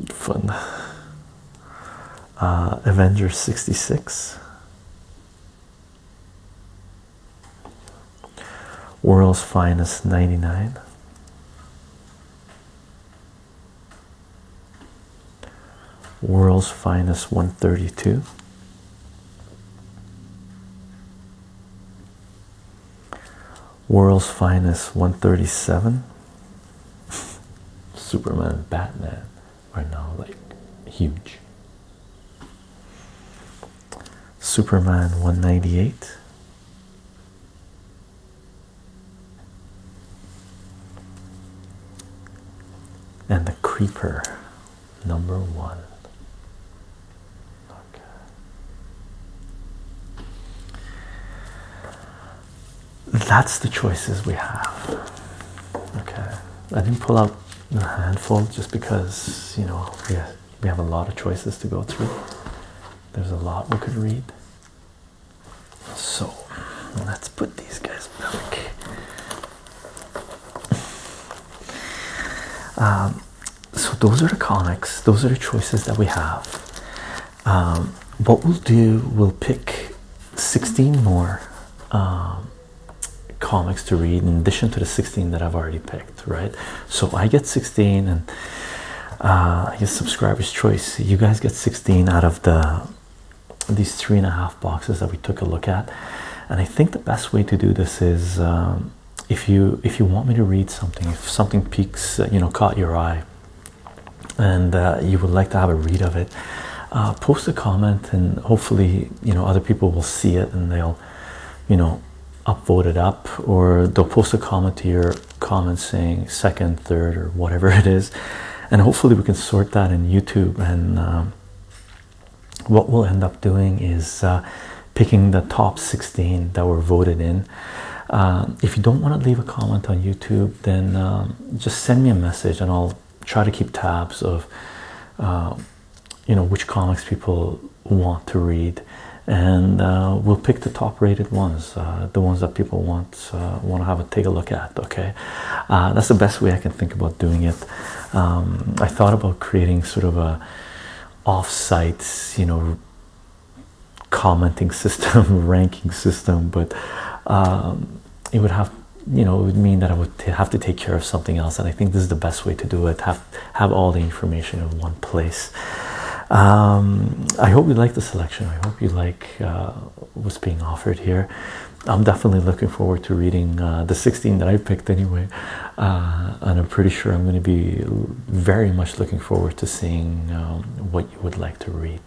Fun. Uh, Avengers 66. World's Finest 99. World's Finest 132. World's Finest 137. Superman Batman are now like huge. Superman 198. And the Creeper, number one. Okay. That's the choices we have. Okay, I didn't pull out a handful just because you know, yeah, we have a lot of choices to go through. There's a lot we could read. So let's put these guys back. Um, so those are the comics. Those are the choices that we have. Um, what we'll do, we'll pick 16 more um, comics to read in addition to the 16 that I've already picked right? So I get 16, and uh, I get subscribers' choice. You guys get 16 out of the these three and a half boxes that we took a look at, and I think the best way to do this is um, if you if you want me to read something, if something peaks, uh, you know, caught your eye, and uh, you would like to have a read of it. post a comment and hopefully you know other people will see it and they'll you know Upvote it up or they'll post a comment to your comment saying second third or whatever it is and hopefully we can sort that in youtube and um, what we'll end up doing is uh, picking the top 16 that were voted in um, if you don't want to leave a comment on youtube then um, just send me a message and i'll try to keep tabs of uh, you know which comics people want to read, and uh, we'll pick the top-rated ones, uh, the ones that people want uh, want to have a take a look at. Okay, that's the best way I can think about doing it. Um, I thought about creating sort of a off-site, you know, commenting system, ranking system, but um, it would have you know it would mean that I would have to take care of something else, and I think this is the best way to do it have all the information in one place. Um, I hope you like the selection. I hope you like uh, what's being offered here. I'm definitely looking forward to reading uh, the 16 that I picked anyway, uh, and I'm pretty sure I'm going to be very much looking forward to seeing um, what you would like to read.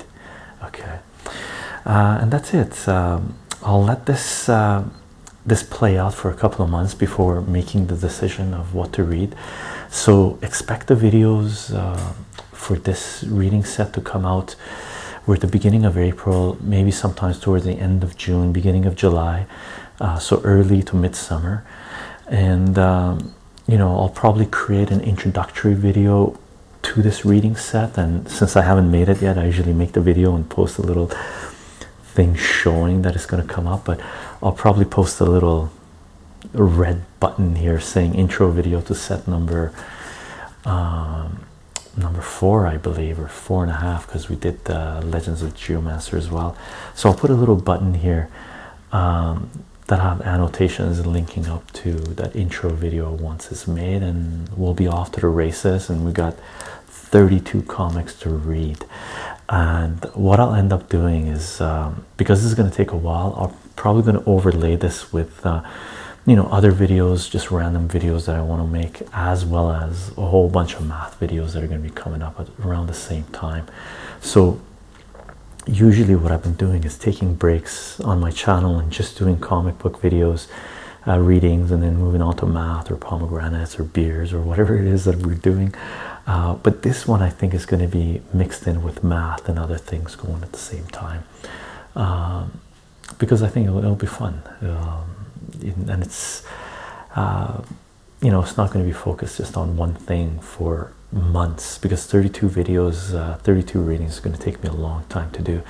Okay, and that's it. Um, I'll let this this play out for a couple of months before making the decision of what to read. So expect the videos uh, for this reading set to come out. We're at the beginning of April, maybe sometimes towards the end of June, beginning of July, uh, so early to midsummer. And um, you know, I'll probably create an introductory video to this reading set. And since I haven't made it yet, I usually make the video and post a little thing showing that it's going to come up. But I'll probably post a little a red button here saying intro video to set number um, number four I believe or four and a half because we did the Legends of Geomancer as well so I'll put a little button here um, that have annotations linking up to that intro video once it's made and we'll be off to the races and we got 32 comics to read and what I'll end up doing is um, because this is going to take a while. I'm probably going to overlay this with, uh, you know, other videos, just random videos that I want to make, as well as a whole bunch of math videos that are going to be coming up around the same time. So, usually, what I've been doing is taking breaks on my channel and just doing comic book videos. Uh, readings and then moving on to math or pomegranates or beers or whatever it is that we're doing uh, but this one I think is going to be mixed in with math and other things going at the same time um, because I think it'll, be fun um, and it's uh, you know it's not going to be focused just on one thing for months because 32 videos uh, 32 readings is going to take me a long time to do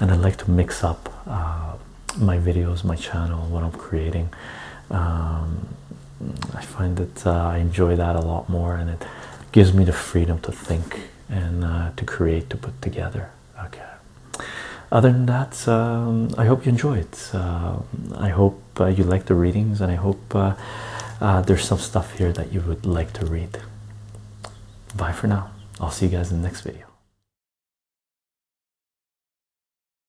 and I like to mix up my videos my channel what I'm creating um, I find that uh, I enjoy that a lot more, and it gives me the freedom to think and uh, to create, to put together. Okay. Other than that, um, I hope you enjoy it. Um, I hope uh, you like the readings, and I hope there's some stuff here that you would like to read. Bye for now. I'll see you guys in the next video.